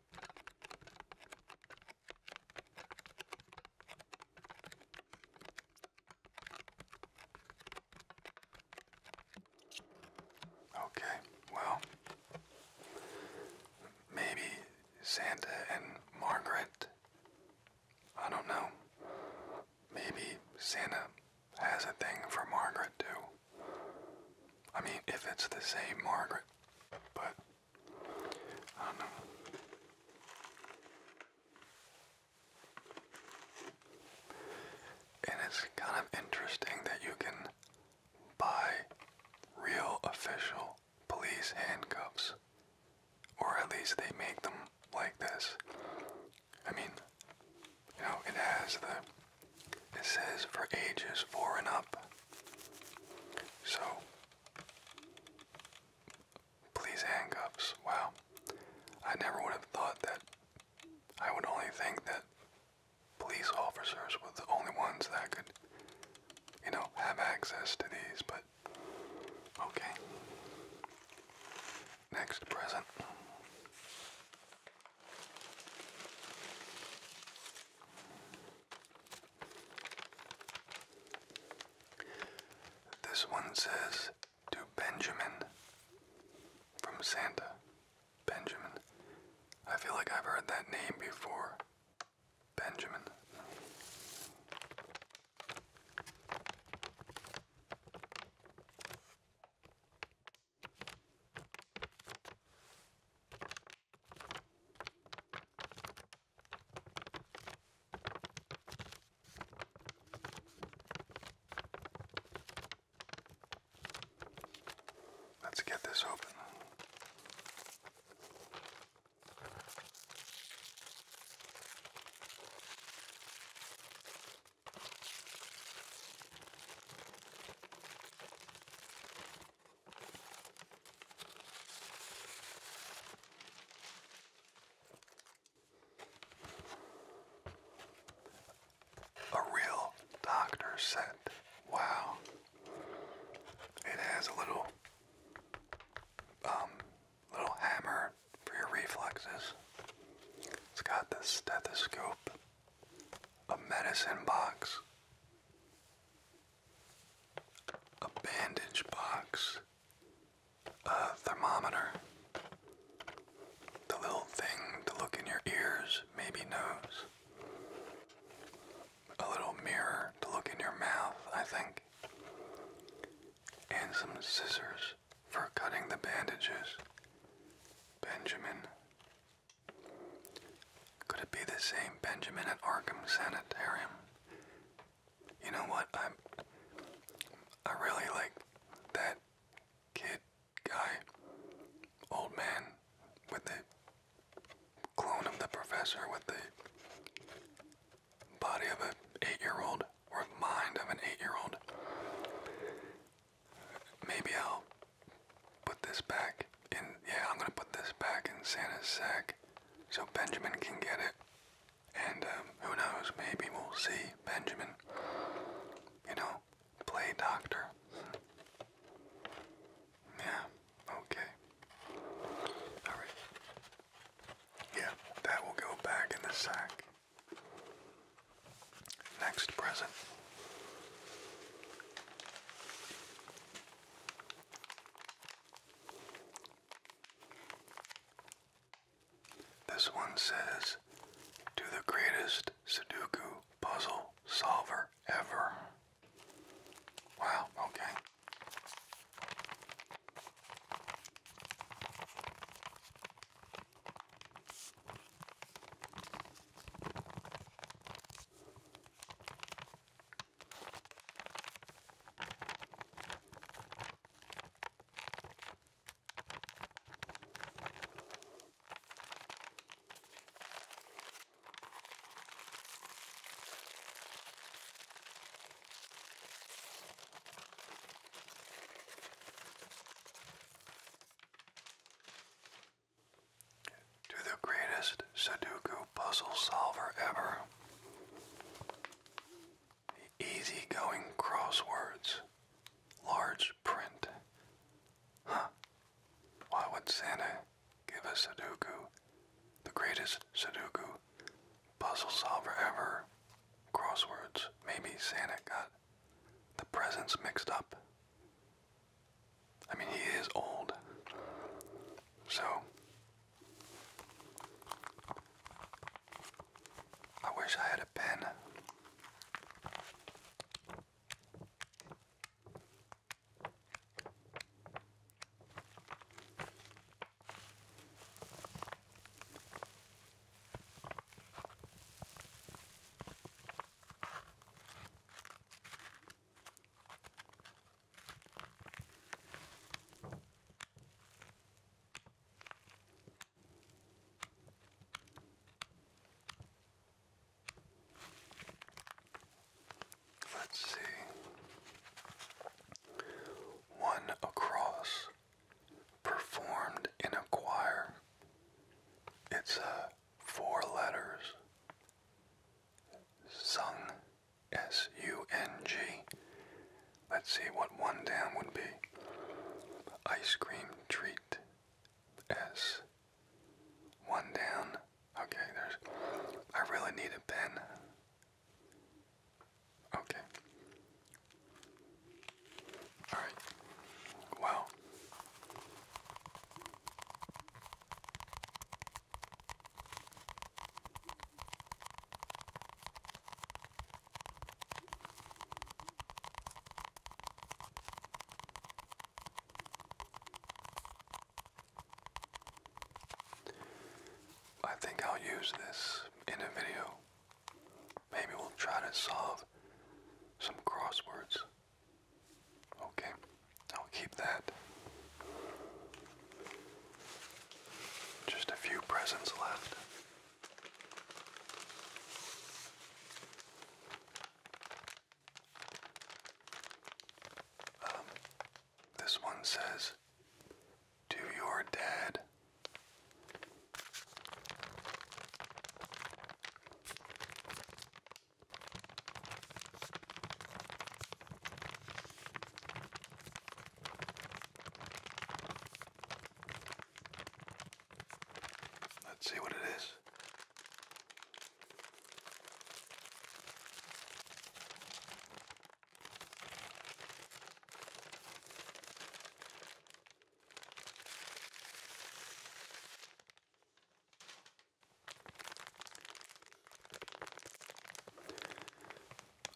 Okay, well, maybe Santa and Margaret. I don't know. Maybe Santa has a thing for Margaret too. I mean, if it's the same Margaret, but I know. And it's kind of interesting that you can buy real official police handcuffs. Or at least they make them like this. I mean, you know, it has the, it says for ages four and up. So Please handcuffs. Wow. I never would have thought that. I would only think that police officers were the only ones that could, you know, have access to these, but okay. Next present. This one says to Benjamin from Santa. Benjamin. I feel like I've heard that name before. Benjamin. Let's get this open. A real doctor set. Wow. It has a little um little hammer for your reflexes. It's got the stethoscope, a medicine box, a bandage box, a thermometer, the little thing to look in your ears, maybe nose, a little mirror to look in your mouth, I think, and some scissors for cutting the bandages. Benjamin. Could it be the same Benjamin at Arkham Sanitarium? You know what? I'm I really like that kid guy, old man with the clone of the professor with the body of an eight-year-old or mind of an eight-year-old. Maybe I'll put this back in. Yeah, I'm gonna put this back in Santa's sack so Benjamin can get it. And um, who knows, maybe we'll see Benjamin, you know, play doctor. Yeah, okay. Alright. Yeah, that will go back in the sack. Next present. This one says, to the greatest Sudoku puzzle solver ever. Wow, okay. To the greatest Sudoku puzzle solver ever, Easygoing crosswords. Large print. Huh. Why would Santa give us Sudoku? The greatest Sudoku puzzle solver ever. Crosswords. Maybe Santa got the presents mixed up. I mean, he is old. So, I wish I had a pen. Let's see. One across performed in a choir. It's uh, four letters sung S-U-N-G. Let's see what one down would be. Ice cream treat. S. One down. Okay, there's... I really need a pen. Okay. Alright. Well. I think I'll use this in a video. Maybe we'll try to solve some crosswords. Okay, I'll keep that. Just a few presents left. Um, this one says, To your dad. Let's see what it is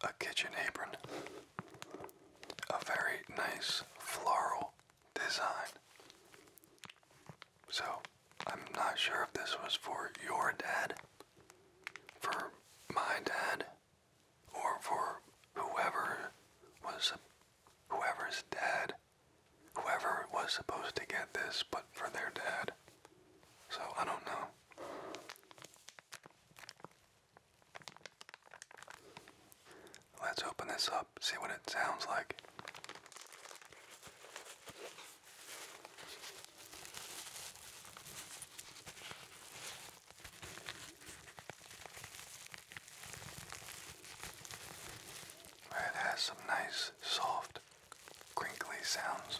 a kitchen apron. A very nice floral design. So, I'm not sure if this was for your dad, for my dad, or for whoever was whoever's dad, whoever was supposed to get this, but for their dad. So, I don't know. Let's open this up, see what it sounds like. It has some nice, soft, crinkly sounds.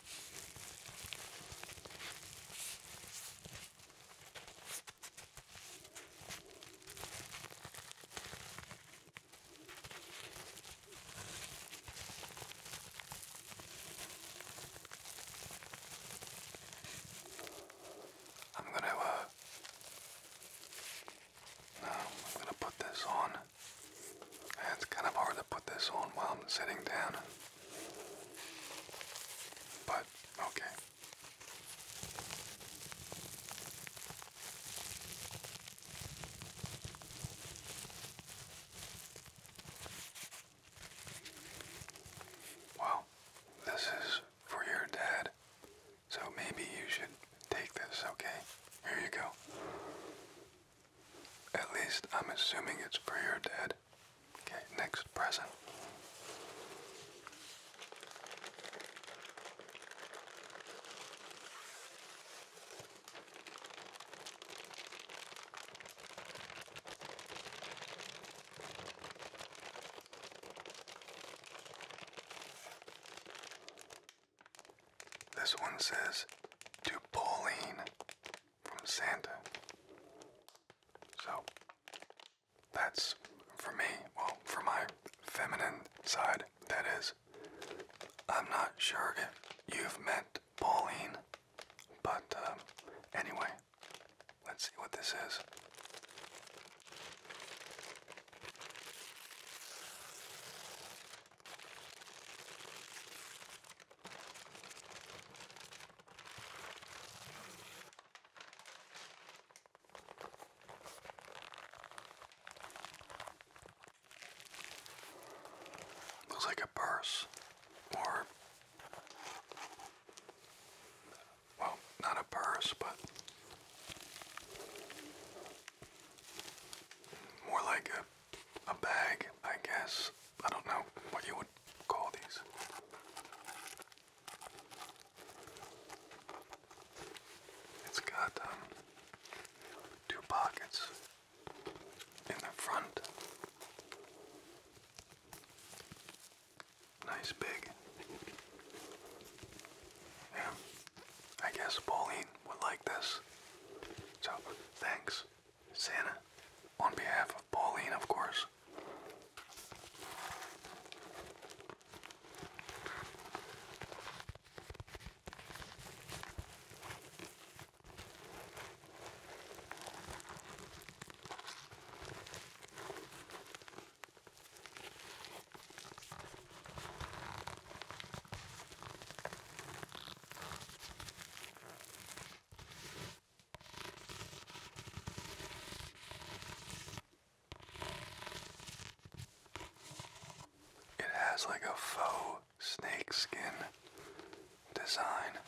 I'm going to, uh, no, I'm going to put this on. It's kind of hard to put this on while I'm sitting down. But, okay. Well, this is for your dad, so maybe you should take this, okay? Here you go. At least I'm assuming it's for your dad. Okay, next present. This one says to Pauline from Santa. So that's for me, well, for my feminine side, that is. I'm not sure if you've met Pauline, but um, anyway, let's see what this is. Looks like a purse, or well, not a purse, but more like a a bag, I guess. I don't know what you would call these. It's got um, two pockets in the front. Nice big. Yeah, I guess Pauline would like this. So, thanks. Santa, on behalf of Pauline, of course. It has like a faux snake skin design.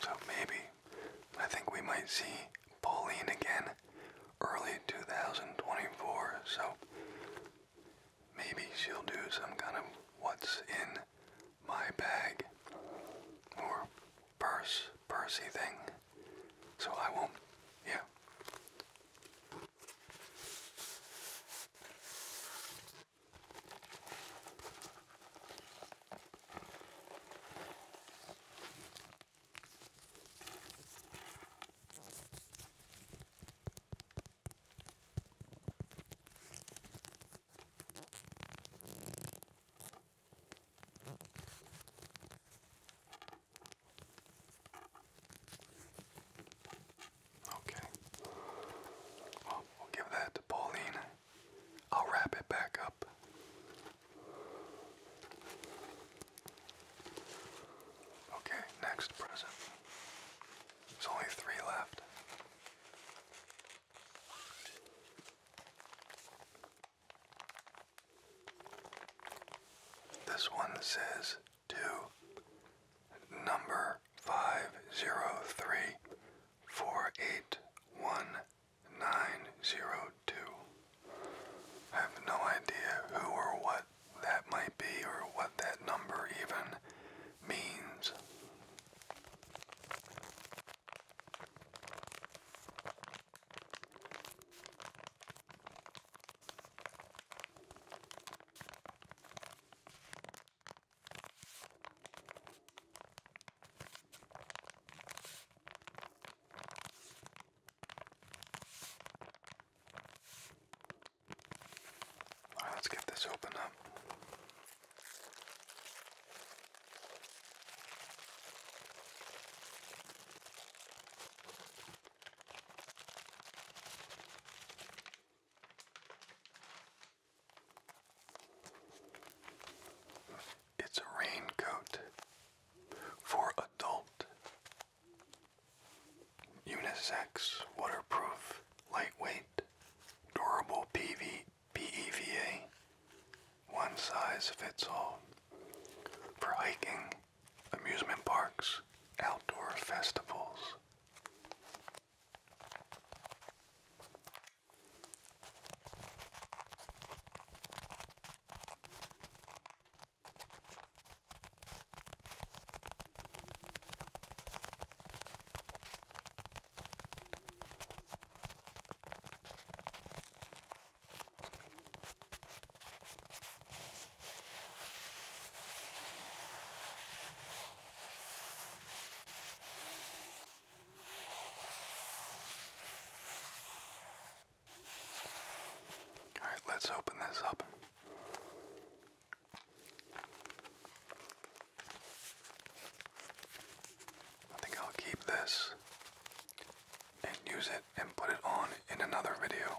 So maybe I think we might see Pauline again early 2024. So maybe she'll do some kind of what's in my bag purse, pursey thing. So I won't, yeah. Okay. Well, we'll give that to Pauline. I'll wrap it back up. Okay, next present. There's only three left. This one says two. Number five zero three four eight one nine zero two. I have no idea who or what that might be or what that number even means. All right, let's get this open up. It's a raincoat for adult, unisex, waterproof, lightweight, durable PV BEVA, one size fits all, for hiking, amusement parks, outdoor festivals. All right, let's open this up. I think I'll keep this and use it and put it on in another video.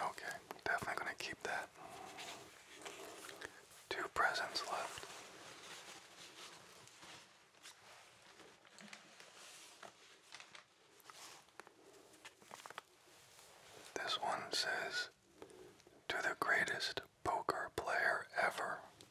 Okay, definitely going to keep that. Two presents left. This one says, To the greatest poker player ever,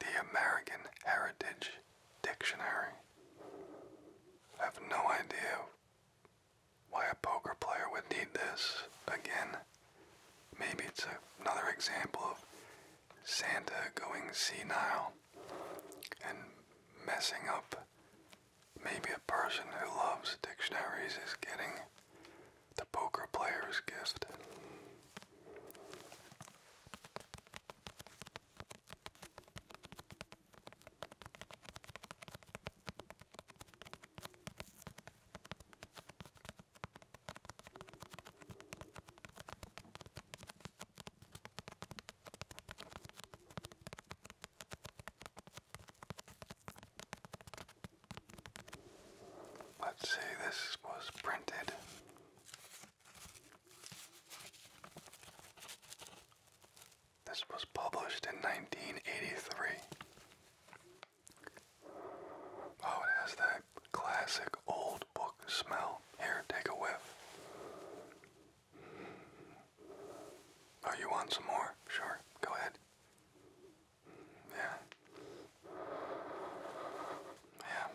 The American Heritage Dictionary. I have no idea why a poker player would need this again. Maybe it's another example of Santa going senile and messing up. Maybe a person who loves dictionaries is getting the poker player's gift. Let's see, this was printed this was published in 1983. Oh, it has that classic old book smell. Here, take a whiff. Oh, you want some more? Sure, go ahead. Yeah. Yeah.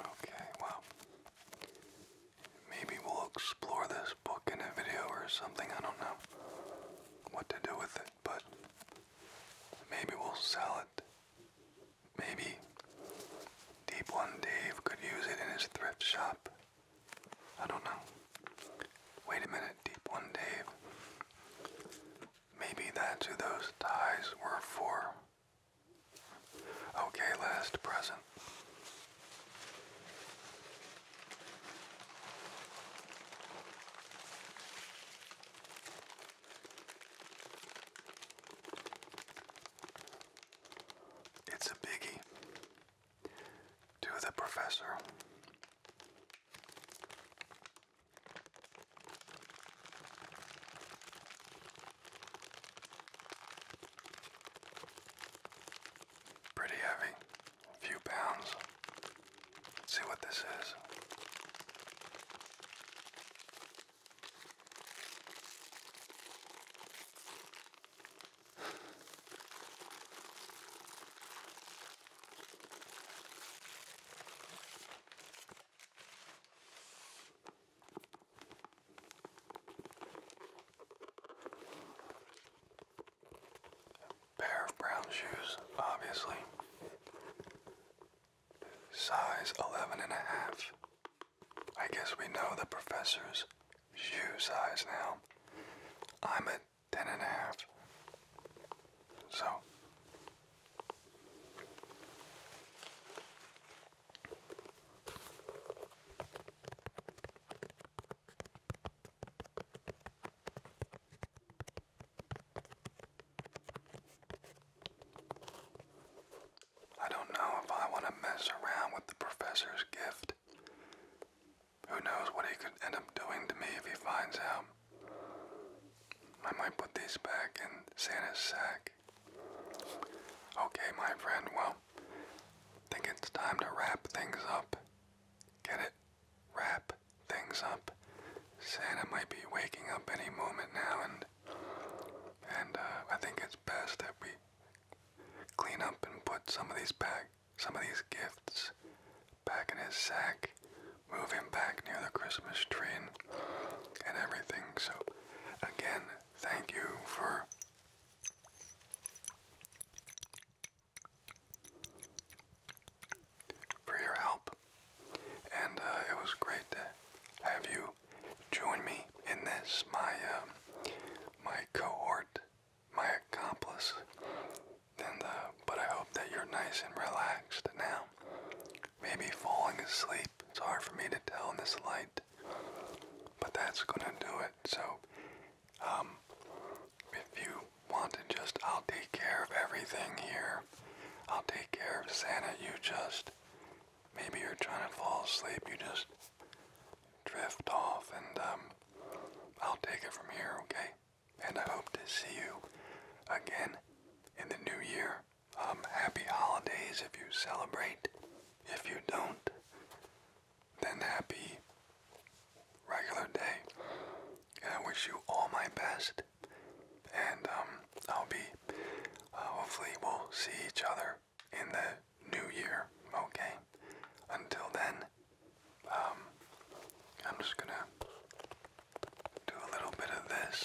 Okay, well, maybe we'll explore this book in a video or something, I don't know what to do with it, but maybe we'll sell it. Maybe Deep One Dave could use it in his thrift shop. I don't know. Wait a minute, Deep One Dave. Maybe that's who those ties were for. Okay, last present. It's a biggie to the professor. Pretty heavy, a few pounds. Let's see what this is pair of brown shoes, obviously. Size 11 I guess we know the professor's shoe size now. I'm a half. So. I don't know if I want to mess around with the professor's gift. Who knows what he could end up doing to me if he finds out. I might put these back in Santa's sack. Okay, my friend, well, I think it's time to wrap things up. Get it? wrap things up. Santa might be waking up any moment now, and and uh, I think it's best that we clean up and put some of these back, some of these gifts back in his sack, move him back near the Christmas tree and everything. So, again, thank you for for your help. And uh, it was great to have you join me in this, my um, my cohort, my accomplice. Uh, but I hope that you're nice and relaxed now. Maybe falling asleep. It's hard for me to tell in this light, but that's gonna do it. So um, if you want to just, I'll take care of everything here. I'll take care of Santa. You just, maybe you're trying to fall asleep. You just drift off and um, I'll take it from here, okay? And I hope to see you again in the new year. Um, happy holidays if you celebrate. If you don't, then happy regular day. I wish you all my best. And I'll be, hopefully, we'll see each other in the new year, okay? Until then, I'm just gonna do a little bit of this.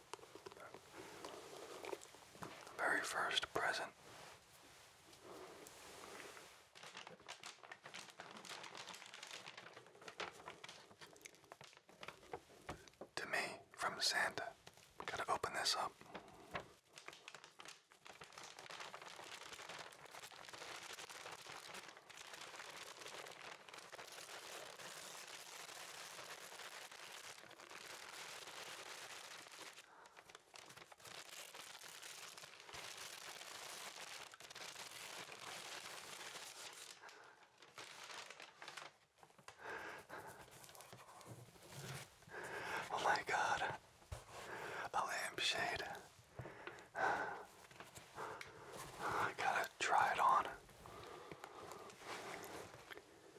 very first present. To me, from Santa. Gotta open this up. Oh my God, a lampshade. I gotta try it on.